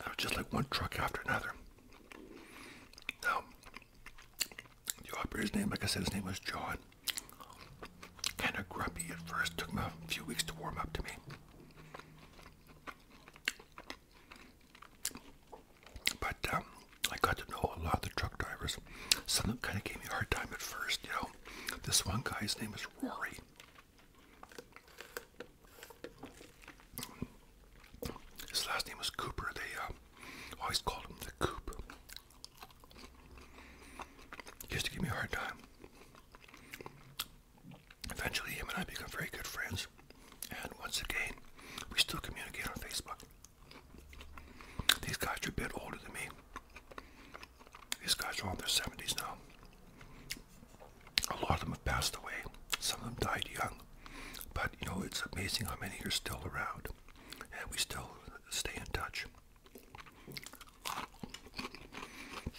It was just like one truck after another. Now, the operator's name, like I said, his name was John. Kind of grumpy at first. Took him a few weeks to warm up to me. But um, I got to know a lot of the truck drivers. Some of them kind of gave me a hard time at first, you know. This one guy, his name is Rory. His last name was Cooper. They uh, always called him the Coop. He used to give me a hard time. Eventually, him and I became very good friends. And once again, we still communicate on Facebook. These guys are a bit older than me. These guys are in their 70s now a lot of them have passed away. Some of them died young. But, you know, it's amazing how many are still around. And we still stay in touch.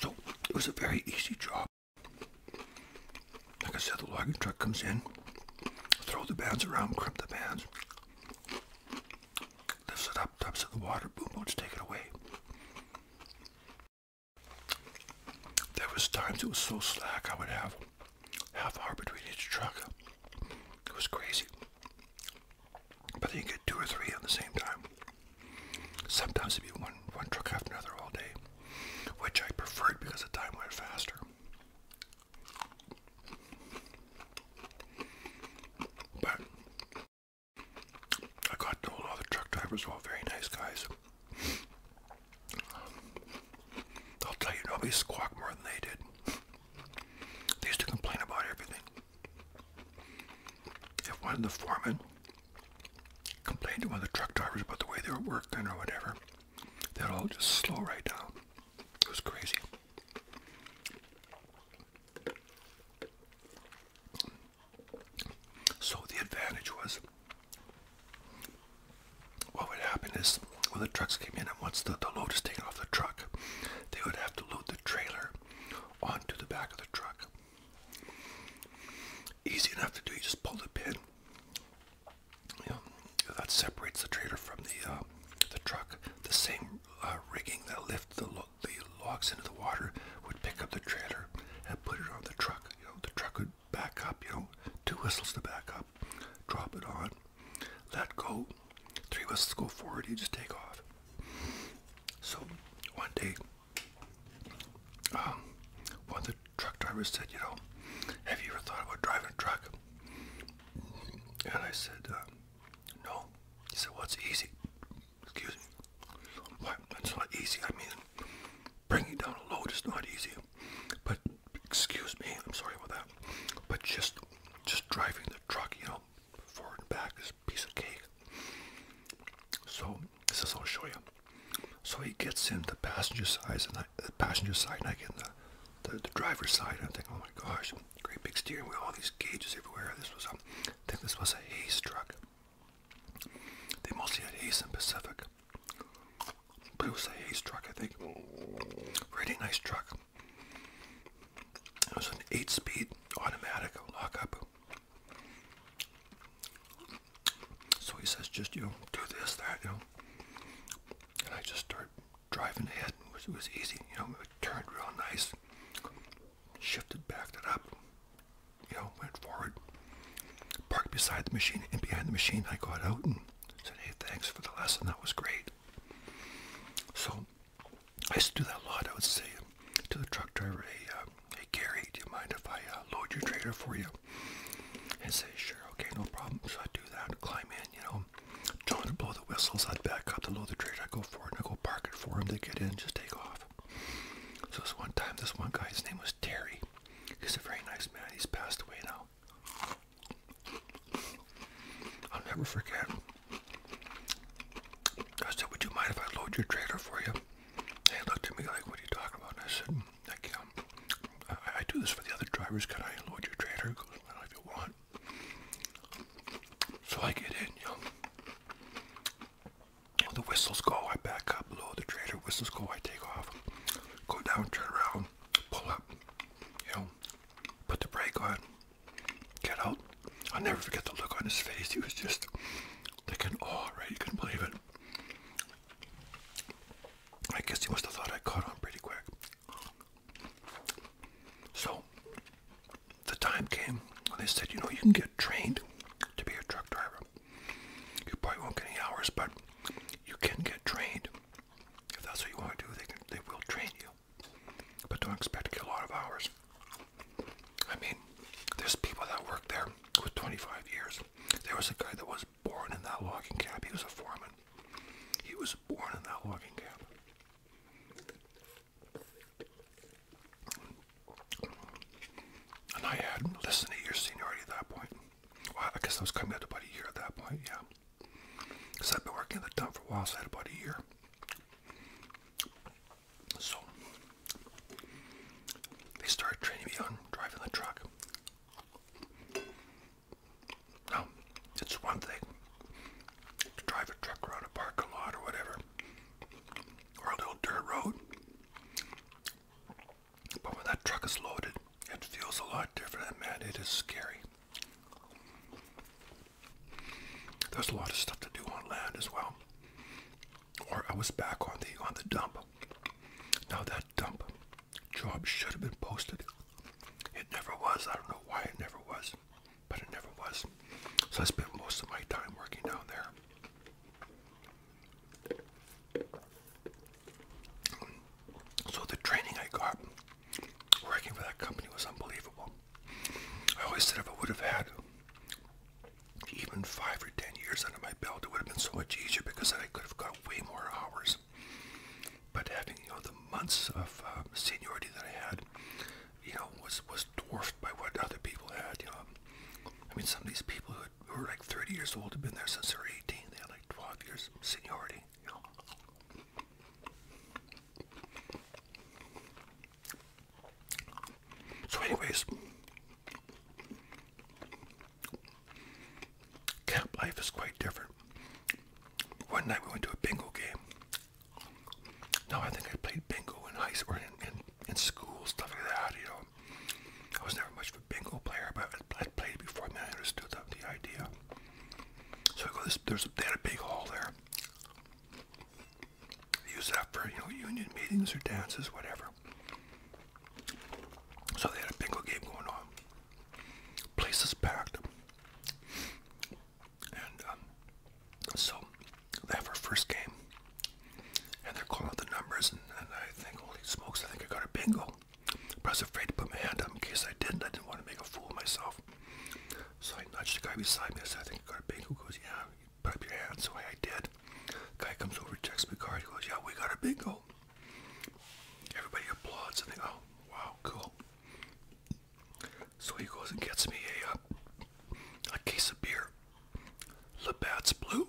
So, it was a very easy job. Like I said, the logging truck comes in, throw the bands around, crimp the bands, lifts it up, dumps it in the water, boom boats take it away. There was times it was so slack I would have half hour between each truck. It was crazy. But you get two or three at the same time. Sometimes it'd be one one truck after another all day, which I preferred because the time went faster. But I got to know a lot truck drivers, all very nice guys. Um, I'll tell you, nobody squawked more than they did. They used to complain about everything. If one of the foremen complained to one of the truck drivers about the way they were working or whatever, they'd all just slow right down. It was crazy. So the advantage was what would happen is when the trucks came in and once the, the load is taken off the truck, they would have to load the trailer onto the back of the truck. Easy enough to do, you just pull the pin. You know, that separates the trailer from the uh, the truck. The same uh, rigging that lifts the load the logs into the water, would pick up the trailer and put it on the truck. You know, the truck would back up, you know, two whistles to back up, drop it on, let go, three whistles go forward, you just take off. So one day, um, one of the truck drivers said, you know, have you ever thought about driving a truck? And I said, um, no. He said, well, it's easy. Excuse me. Why? not easy. I mean, bringing down a load is not easy. But excuse me, I'm sorry about that. But just, just driving the truck, you know, forward and back is piece of cake. So this is I'll show you. So he gets in the passenger side, and I, the passenger side, and I get in the the, driver's side. I think, oh my gosh, great big steering wheel, all these gauges everywhere. This was a, I think this was a hay truck. They mostly had Ace and Pacific. But it was a Ace truck, I think. Pretty nice truck. It was an eight-speed automatic lockup. So he says, just you do this, that, you know. And I just start driving ahead. it was easy, you know. It turned real nice shifted, back, it up, you know, went forward, parked beside the machine, and behind the machine I got out and said, hey, thanks for the lesson, that was great. So I used to do that a lot. I would say to the truck driver, hey, uh, hey Gary, do you mind if I uh, load your trailer for you? And say, sure, okay, no problem. So I'd do that, I'd climb in, you know, tell to blow the whistles, I'd back up to load the trailer, I'd go forward, and I'd go park it for him to get in, just take off. So this one time, this one guy, his name was Terry. He's a very nice man. He's passed away now. I'll never forget. I said, would you mind if I load your trailer for you? And he looked at me like, what are you talking about? I said, um, I can I, do this for the other drivers. Can I load your trailer? He goes, well, if you want. So I get in, you know the whistles go, I back up, load the trailer, whistles go, I take off, go down, turn around, pull up, you know, put the brake on, get out. I'll never forget the look on his face. He was just like in awe, right? You couldn't believe it. I guess he must have thought I caught on pretty quick. So, the time came and they said, you know, you can get trained to be a truck driver. You probably won't get any hours, but you can get trained. If that's what you want to do, they, they will train you. But don't expect to get a lot of hours. I mean, there's people that worked there with 25 years. There was a guy that was born in that logging camp. He was a foreman. He was born in that logging camp. And I had less than a year seniority at that point. I guess I was coming out about a year at that point, yeah. Because I'd been working at the dump for a while, so I had about a year. So, they started training me on driving the truck. Now, it's one thing to drive a truck around a parking lot or whatever, or a little dirt road. But when that truck is loaded, it feels a lot different, man, it is scary. There's a lot of stuff to do on land as well. Or I was back on the on the dump. Now that dump job should have been posted. It never was. I don't know why it never was, but it never was. So I spent most of my time working down there. So the training I got working for that company was unbelievable. I always said if I would have had even five or ten years under my belt, it would have been so much easier because then I could have got way more hours. But having you know the months of uh, seniority that I had, you know, was dwarfed by what other people had. You know, I mean, some of these people who, had, were like 30 years old had been there since they were 18. They had like 12 years seniority. So, anyways, camp life is quite different. One night we went to a bingo game. Now I think I played bingo in high school, in, in, in school, stuff like that, you know. I was never much of a bingo player, but I played before and I understood the, the idea. So I go, this, there's a, they had a big hall there. They use that for you know union meetings or dances, whatever. So they had a bingo game going on. Places packed. And um, so they have our first game, and they're calling out the numbers, and, I think, holy smokes, I think I got a bingo. But I was afraid to put my hand up in case I didn't. I didn't want to make a fool of myself. So I nudged the guy beside me. I said, I think I got a bingo. He goes, yeah, you put up your hand. So I, I did. guy comes over, checks my card. He goes, yeah, we got a bingo. Everybody applauds and they go, oh, wow, cool. So he goes and gets me a, uh, a case of beer. Labatt's Blue.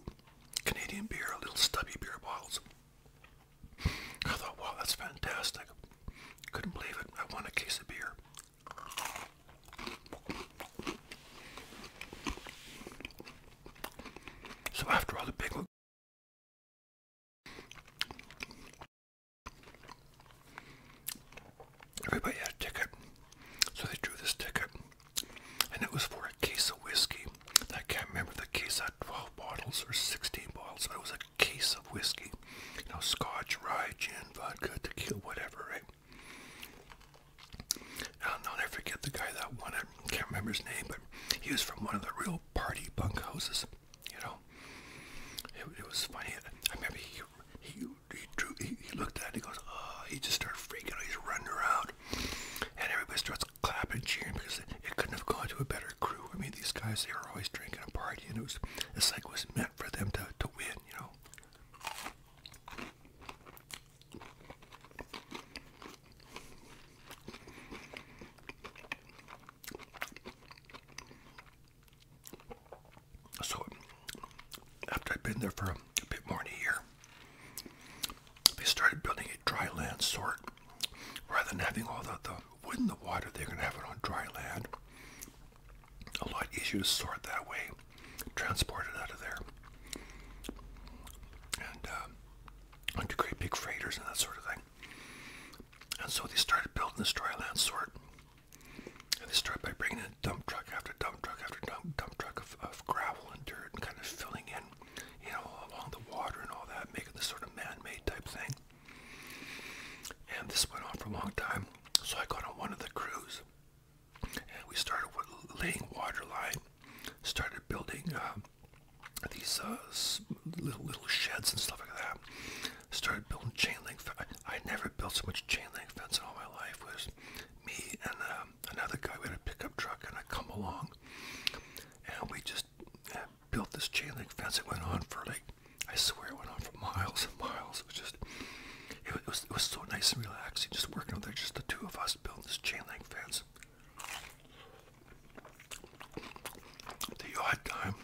Canadian beer, little stubby beer bottles. I thought, wow, that's fantastic. Couldn't believe it. I want a case of beer. So after all the big everybody had a ticket. So they drew this ticket and it was for a case of whiskey. I can't remember the case had 12 bottles or 16 bottles, but it was a case of whiskey. You know, scotch, rye, gin, vodka, tequila, whatever, right? I'll, never forget the guy that won it. can't remember his name, but he was from one of the real party bunk houses. You know, it, was funny. I he he, he looked at it. He goes, "Oh!" He just started freaking out. He's running around. And everybody starts clapping, cheering because it couldn't have gone to a better crew. I mean, these guys, they were always drinking and partying. It was, it's like it was meant for them to, to win, you know. So, after I've been there for a bit more than a year, they started building a dry land sort. Rather than having all the, wood in the water, they're going to have it on dry land. A lot easier to sort that way, transport it out of there. And um, onto great big freighters and that sort of thing. And so they started building this dry land sort. And they started by bringing in dump truck after dump truck after dump, dump truck of, of gravel and dirt and kind of filling in, you know, along the water and all that, making this sort of man-made type thing. And this went on for a long time. So I got on one of the crews, and we started with laying water line, started building uh, these uh, little little sheds and stuff like that. Started building chain link. I never built so much chain link fence in all my life. It was me and uh, another guy. We a pickup truck, and I come along, and we just uh, built this chain link fence. It went on for like, I swear, it went on for miles and miles. It was just, it was, it was so nice and relaxing, just working out there, just the two of us building this chain link fence. The odd time,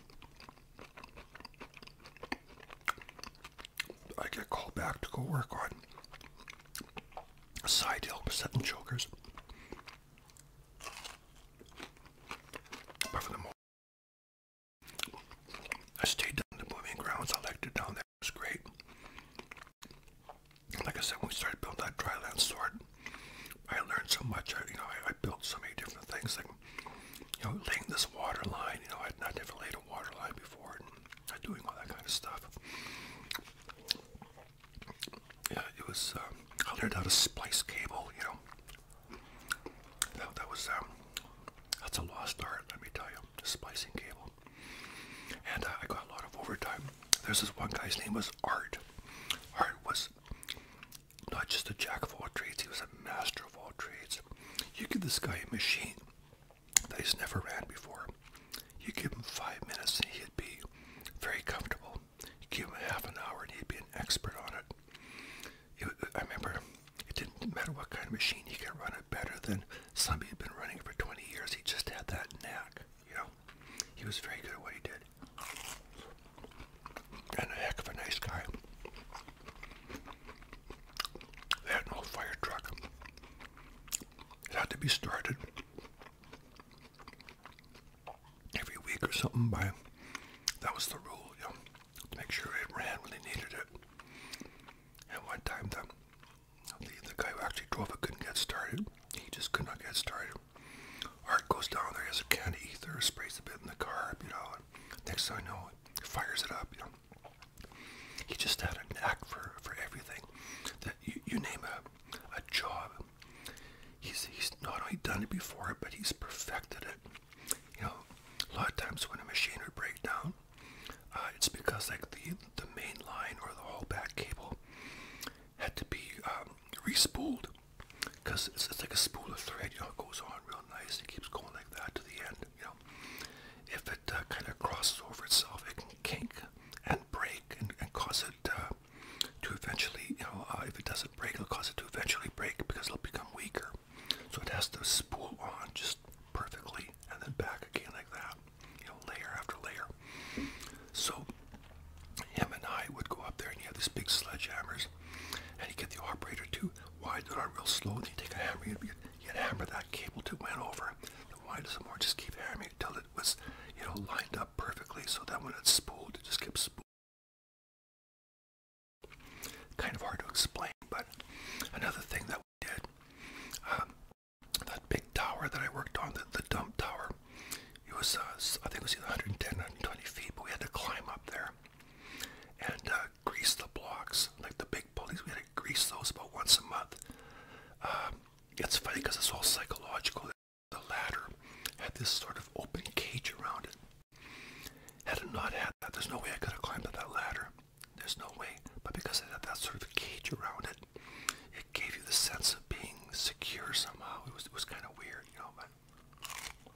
I get called back to go work on Side hill, seven chokers. But for the most I stayed down the moving grounds. I liked it down there. It was great. Like I said, when we started building that dryland sword, I learned so much. I, you know, I, built so many different things, like you know, laying this water line. You know, I, had I never to had before doing all that kind of stuff. Yeah, it was. Um, I learned how to splice cable. You know, that, that was um, that's a lost art. Let me tell you, splicing cable. And uh, I got a lot of overtime. There's this one guy's name was Art. Art was not just a jack of all trades; he was a master of all trades. You give this guy a machine, that he's never ran before. You give him five minutes and he'd be very comfortable. You give him half an hour and he'd be an expert on it. it I remember it didn't matter what kind of machine he could run it better than somebody who'd been running for 20 years. He just had that knack, you know. He was very good at what he did. And a heck of a nice guy. They had an old fire truck. It had to be started every week or something by that was the rule, you know, to make sure it ran when they needed it. And one time the the, guy who actually drove it couldn't get started. He just could not get started. Art goes down there, has a can of ether, sprays a bit in the car, you know, next thing I know, fires it up, you know. He just had a knack for, for everything. That you, you name a, a job, he's, he's not only done it before, but he's perfected it. You know, a lot of times when a machine would break down, uh, it's because like the the main line or the whole back cable had to be um, re-spooled because it's, it's, like a spool of thread, you know, it goes on real nice, it keeps going like that to the end, you know. If it uh, kind of crosses over itself, it can kink and break and, cause it uh, to eventually, you know, uh, if it doesn't break, it'll cause it to eventually break because it'll become weaker. So it has to spool on just perfectly and then back again like that, you know, layer after layer. So him and I would go up there and you have these big sledgehammers and you get the operator to widen it out real slow and you take a hammer, you'd, you hammer that cable to went over. The wide some more, just keep hammering till it was, you know, lined up perfectly so that when it spooled, it just kept spooling. Kind of hard to explain, but another thing that we did, um, that big tower that I worked on, the, dump tower, it was, uh, I think it was either 110, or 120 feet, but we had to climb up there and uh, grease the blocks, like the big pulleys. We had to grease those about once a month. Um, it's funny because it's all psychological. The ladder had this sort of open cage around it. Had it not had that, there's no way I could have climbed up that ladder. There's no way. But because it had that sort of cage around it, it gave you the sense of being secure somehow. It was was kind of weird, you know. But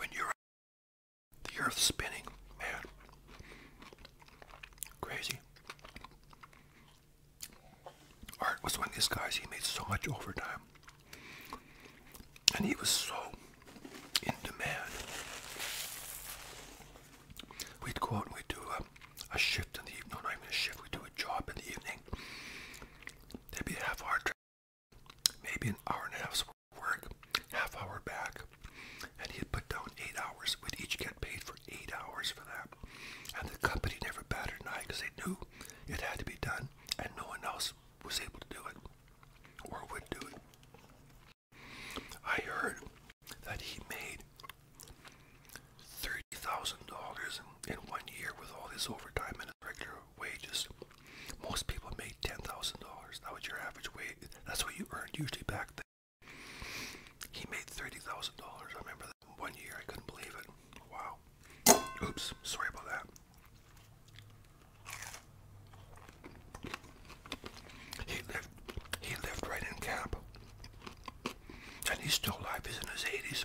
when you're the earth spinning, man, Crazy. Art was one of these guys, he made so much overtime. And he was so in demand. We'd go out and we'd do a, shift in the evening, no, not even a shift, we'd do a job in the evening. There'd half hour, maybe an hour and a half's work, half hour back work. And he had put down eight hours. We'd each get paid for eight hours for that. And the company never batted an eye because they knew it had to be done and no one else was able to do it or would do it. I heard that he made $30,000 in one year with all his overtime and his regular wages. Most people made $10,000. That was your average wage. That's what you earned usually back then. He made $30,000. I remember that one year. I couldn't believe it. Wow. Oops. Sorry about that. He lived he lived right in camp. And he's still alive. He's in his 80s.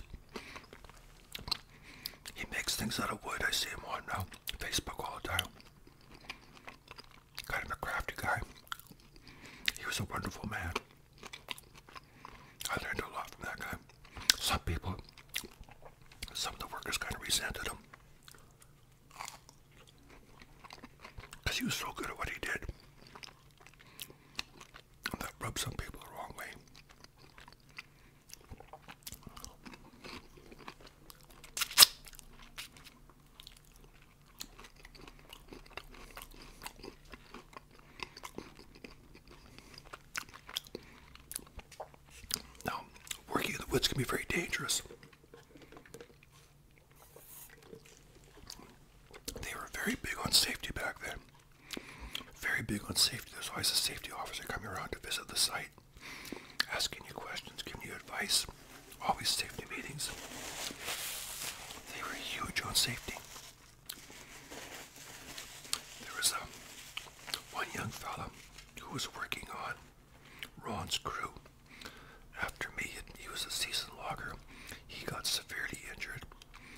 He makes things out of wood. I see him on now. Uh, Facebook all the time. Kind of a crafty guy. He was a wonderful man. I learned a lot from that guy. Some people, some of the workers kind of resented him. Because he was so good at what he did. that rubbed some people the wrong way. Now, working in the woods can be very dangerous. They were very big on safety back then. Very big on safety. There's always a safety officer coming around to visit the site, asking you questions, giving you advice always safety meetings. They were huge on safety. There was a um, one young fella who was working on Ron's crew. After me, he was a seasoned logger. He got severely injured.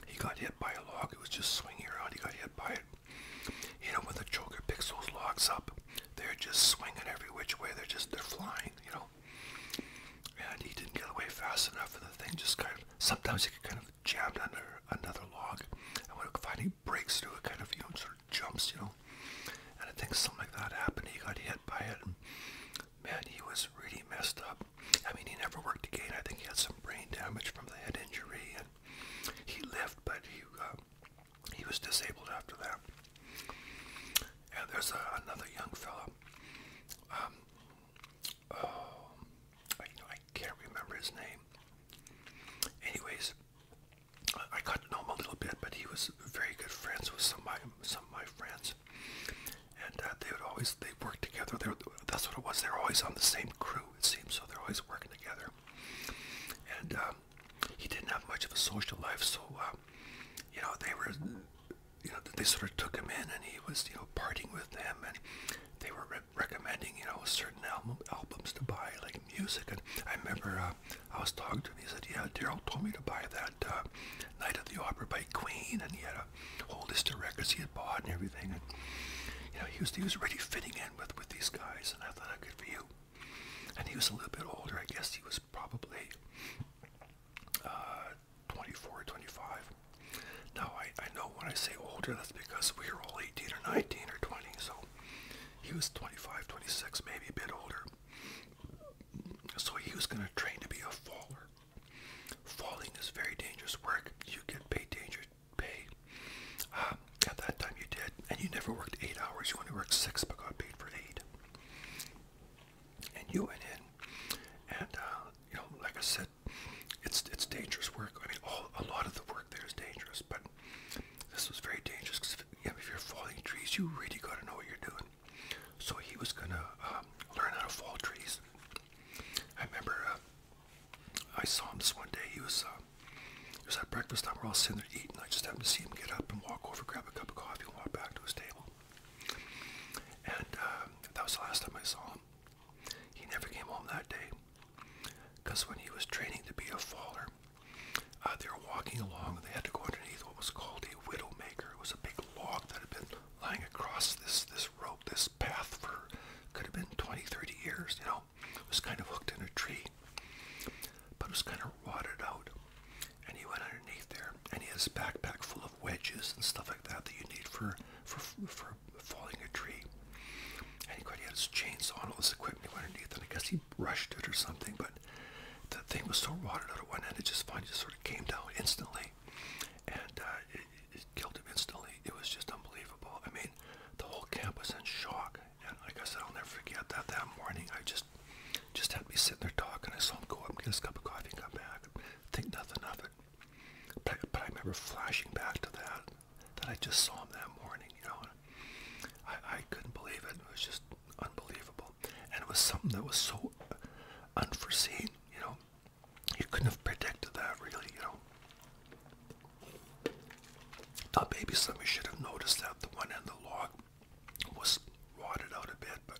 He got hit by a log. It was just swinging around. He got hit by it. You know, when the choker picks those logs up, they're just swinging every which way. They're just, they're flying, you know know. And he didn't get away fast enough, and the thing just kind of, sometimes it could kind of jam under another log, and when it finally breaks through, it kind of, you know, sort of jumps, you know. And I think something like that happened. He got hit by it, and man, he was really messed up. I mean, he never worked again. I think he had some brain damage from the head injury, and he lived, but he, uh, he was disabled after that. And there's another young fellow. Um, oh, I, can't remember his name. Anyways, I got to know him a little bit, but he was very good friends with some my, some my friends. And uh, they would always, they worked together. that's what it was. They're always on the same crew, it seems. So they're always working together. And um, he didn't have much of a social life. So, uh, you know, they were you know, they sort of took him in and he was, you know, partying with them and they were re recommending, you know, certain album, albums to buy, like music. And I remember uh, I was talking to him. He said, yeah, Daryl told me to buy that uh, Night at the Opera by Queen. And he had a whole list of records he had bought and everything. And, you know, he was, he was really fitting in with, with these guys. And I thought, oh, good for you. And he was a little bit older. I guess he was probably uh, 24, 25. Now, I, I know when I say older, that's because we were all 18 or 19 or 20, so he was 25, 26, maybe a bit older. So he was going to train to be a faller. Falling is very dangerous work. You get paid danger pay. Um, at that time you did, and you never worked eight hours. You only worked six, but got paid for eight and you went in, and uh, you know, like I said, it's it's dangerous work. I mean, all, a lot of the work there is dangerous, but this was very dangerous because if, you know, if you're falling trees, you really got to know what you're doing. So he was gonna um, learn how to fall trees. I remember uh, I saw him this one day. He was uh, it was at breakfast time. We're all sitting there eating. I just happened to see him get up and walk over, grab a cup of coffee, and walk back to his table. And uh, that was the last time I saw him. He never came home that day because when he was training to be a faller, uh, they were walking along and they had to go underneath what was called a widow maker. It was a big log that had been lying across this, this rope, this path for could have been 20, 30 years, you know. It was kind of hooked in a tree, but it was kind of rotted out. And he went underneath there, and he had his backpack full of wedges and stuff like that that you need for for for falling a tree. And he, he had his chainsaw and all this equipment underneath, and I guess he brushed it or something. But the thing was so watered out at one end, it just finally just sort of came down instantly, and uh, it, killed him instantly. It was just unbelievable. I mean, the whole camp was in shock. And like I said, I'll never forget that. That morning, I just just had me sitting there talking. I saw him go up and get his cup of coffee and come back could think nothing of it. But, but I remember flashing back to that, that I just saw him that morning, you know. I, I couldn't believe it. It was just unbelievable. And it was something that was so unforeseen, you know. You couldn't have predicted that, really, you know. Now, maybe somebody should have noticed that the one end of the log was rotted out a bit, but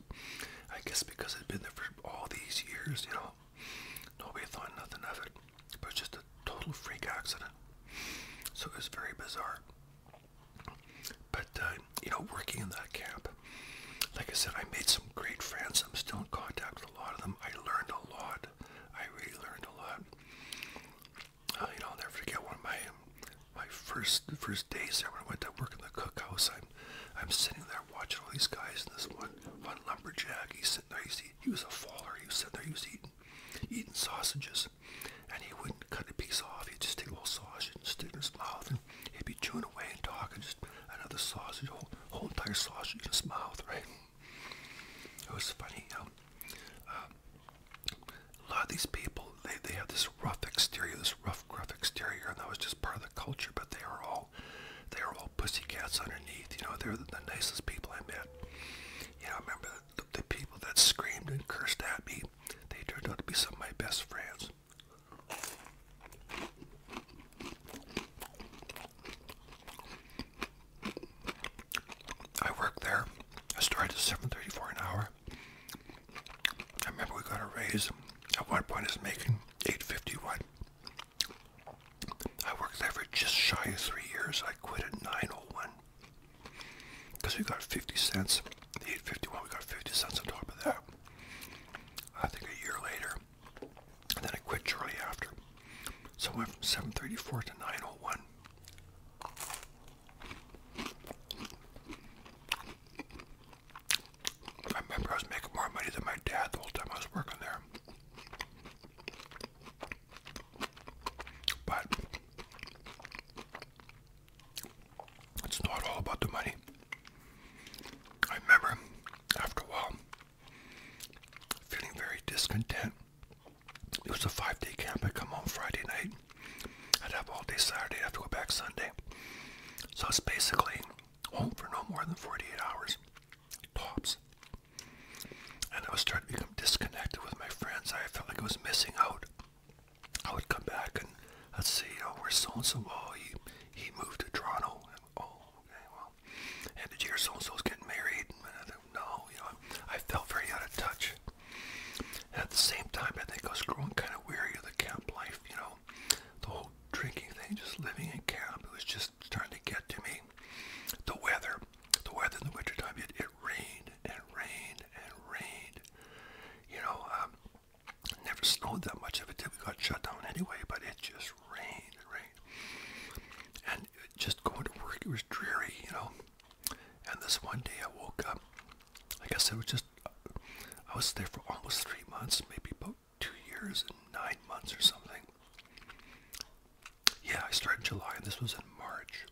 I guess because it'd been there for all these years, you know, nobody thought nothing of it. But just a total freak accident. So it was very bizarre. But, uh, you know, working in that camp, like I said, I made some great friends. I'm still in contact with a lot of them. I learned a lot. I really learned a lot. Uh, you know, I'll never forget one of my my first first days there when I went to work in the cookhouse. I time. I'm sitting there watching all these guys and this one one lumberjack, he's sitting there, he's eating, he was a faller, he was sitting there, he was eating eating sausages. And he wouldn't cut a piece off, he'd just take a little sausage and stick it in his mouth and he'd be chewing away and talking just another sausage, whole whole entire sausage in his mouth, right? It was funny, you know? um, uh, a lot of these people, they, they have this rough exterior, this rough, gruff exterior, and that was just part of culture, but they are all they are all pussycats underneath. You know, they're the nicest people I met. Yeah, I remember the, the people that screamed and cursed at me. They turned out to be some of my best friends. I worked there. I started at 7:34 an hour. I remember we got a raise. At one point, it's making 851. I worked there for just shy of three years. I quit at 901 because we got 50 cents. The 851, we got 50 cents on top of that. I think a year later, and then I quit shortly after. So I went from 734 to 901. I remember I was making more money than my dad the whole time I was working there. But it's not all about the money. I remember after a while feeling very discontent. It was a five day camp. I'd come home Friday night. I'd have all day Saturday. I'd have to go back Sunday. So it's basically home for no more than 48 hours, tops. And I was starting to become disconnected with my friends. I felt like I was missing out. I would come back and let's see, oh, we're so and so? Oh, he, he moved to Toronto. And, oh, okay, well. And did you hear so and so's getting married? And I think, no, you know, I felt very out of touch. And at the same time, I think I was growing kind of weary of the camp life, you know the whole drinking thing, just living in camp, it was just starting to get to me. The weather, the weather in the wintertime, it, it rained and rained and rained. You know, um, never snowed that much of it did. We got shut down anyway, but it just rained and rained. And just going to work, it was dreary, you know. And this one day I woke up, like I said, it was just, I was there for almost three months, maybe about about two years and nine months or something. Yeah, I started in July, and this was in March.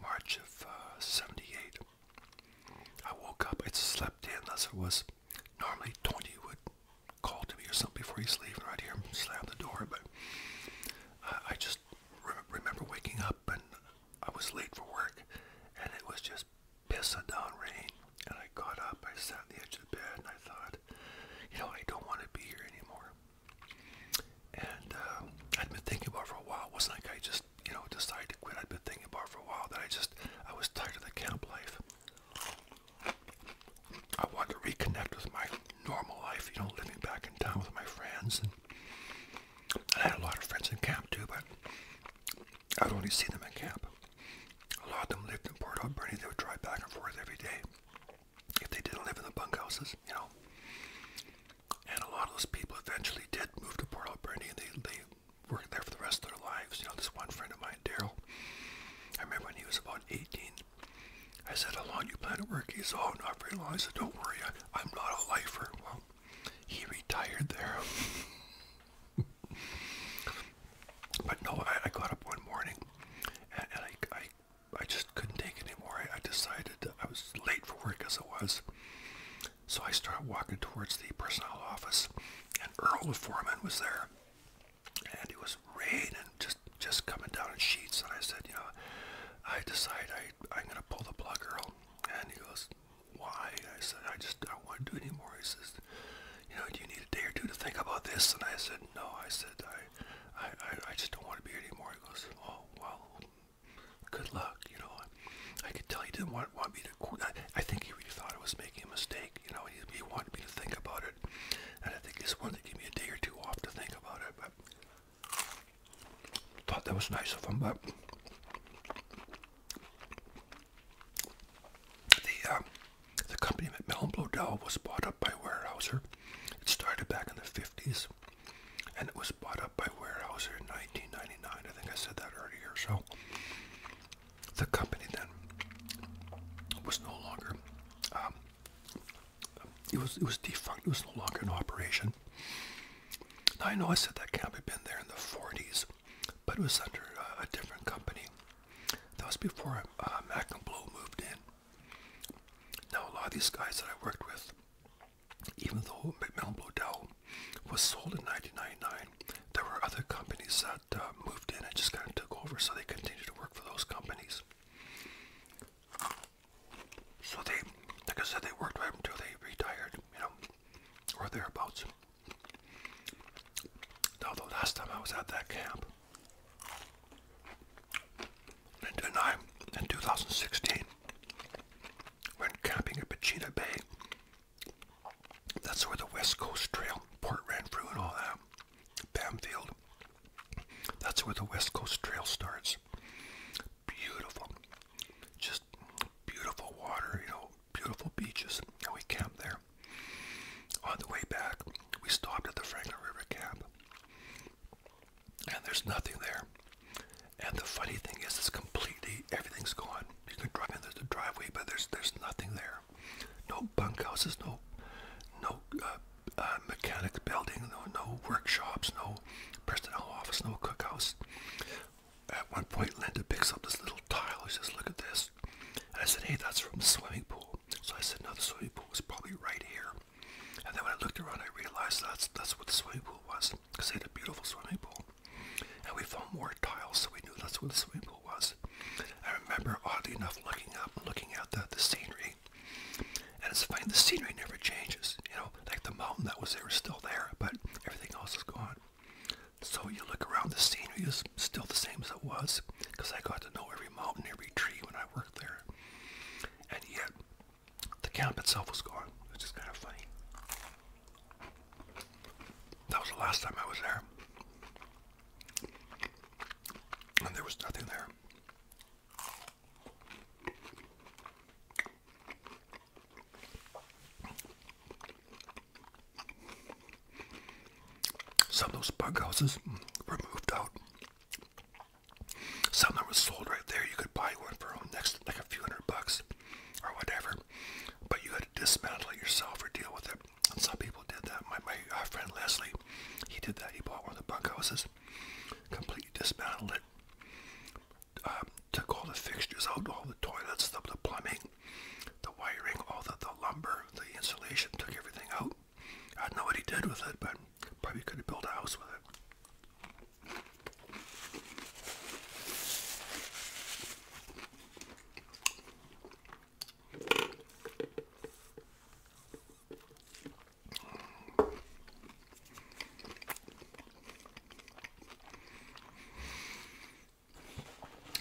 March of uh, 78. I woke up, I slept in, thus it was normally Tony would call to me or something before he's leaving, right here, slam the door, but uh, I just re remember waking up and I was late for work, and it was just piss had down rain, and I got up, I sat on the edge of the bed, and I thought, you know, I don't want to be here anymore. And uh, I'd been thinking about it for a while. It wasn't like I just, you know, decided to quit. I'd been thinking about it for a while that I just, I was tired of the camp life. I wanted to reconnect with my normal life, you know, living back in town with my friends. and I had a lot of friends in camp too, but I'd only see them in camp. A lot of them lived in Port Alberni. They would drive back and forth every day if they didn't live in the bunkhouses, you know. And a lot of those people eventually did move to Port Alberni and they, they worked there for the rest of their lives. You know, this one friend of mine, Daryl, I remember when he was about 18, I said, how long you plan to work? He said, oh, not very long. I said, don't worry, I, I'm not a lifer. Well, he retired there. but no, I, I got up one morning and, I, I, I just couldn't take anymore. I, I decided I was late for work as it was. So I started walking towards the personnel office and Earl, the foreman, was there. And it was raining, just just coming down in sheets. And I said, you know, I decide I, I'm going to pull the plug, Earl. And he goes, why? And I said, I just don't want to do it anymore. He says, you know, do you need a day or two to think about this? And I said, no. I said, I, I, I just don't want to be here anymore. He goes, oh, well, good luck. You know, I, I could tell he didn't want, want me to quit. I, I think he really thought I was making a mistake. You know, he, he wanted me to think about it. And I think he just wanted to give me a day or two off to think about it. But thought that was nice of him, but the um, the company McMillan Blodell was bought up by Weyerhaeuser. It started back in the 50s, and it was bought up by Weyerhaeuser in 1999. I think I said that earlier. So the company then was no longer. Um, it was it was defunct. It was no longer in operation. Now I know I said that can't have been there in the 40s, but it was under a different company. That was before uh, Mac moved in. Now, a lot of these guys that I worked with, even though McMillan Blodell was sold in 1999, there were other companies that uh, moved in and just kind of took over, so they continued to work for those companies. So they, like I said, they worked right until they retired, you know, or thereabouts. Now the last time I was at that camp, and I, in 2016, when camping at Pachita Bay. That's where the West Coast Trail, Port ran through and all that, Bamfield. That's where the West Coast Trail starts. Beautiful. Just beautiful water, you know, beautiful beaches, and we camped there. On the way back, we stopped at the Franklin River Camp, and there's nothing there. And the funny thing is, it's completely everything's gone. You can drive in there's a driveway, but there's there's nothing there. No bunkhouses, no no uh, uh, mechanic building, no no workshops, no personnel office, no cookhouse at one point, Linda picks up this little tile. She says, Look at this. And I said, Hey, that's from the swimming pool. So I said, No, the swimming pool was probably right here. And then when I looked around, I realized that's that's what the swimming pool was because they had a beautiful swimming pool. And we found more tiles, so we knew that's where the swimming pool was. I remember, oddly enough, looking up and looking at the, the scenery. And it's funny, the scenery never changes. You know, like the mountain that was there is still there, but everything else is gone. So you look around, the scenery is still the same as it was, because I got to know every mountain, every tree when I worked there. And yet, the camp itself was gone, which is kind of funny. That was the last time I was there. And there was nothing there. Some of those bug houses mm, were moved out. Some that was sold right there, you could buy one for next like a few hundred bucks or whatever. But you had to dismantle it yourself or deal with it. some people did that. My my uh, friend Leslie, he did that. He bought one of the bunk houses, completely dismantled it, um, took all the fixtures out, all the toilets, the plumbing, the wiring, all the, the lumber, the insulation, took everything out. I don't know what he did with it, but probably could have built a house with it.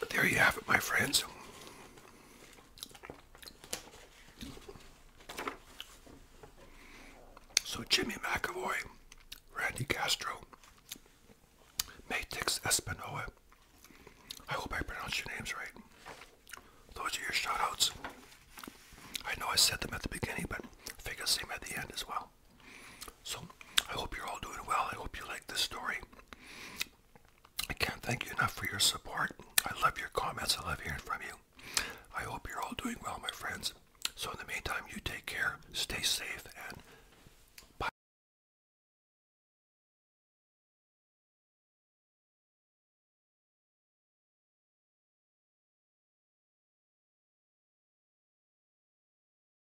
There you have it, my friends. So Jimmy McAvoy, Randy Castro, Matix Espinoa. I hope I pronounced your names right. Those are your shoutouts. I know I said them at the beginning, but I figure them at the end as well. So I hope you're all doing well. I hope you like this story. I can't thank you enough for your support. I love your comments. I love hearing from you. I hope you're all doing well, my friends. So in the meantime, you take care, stay safe, and bye.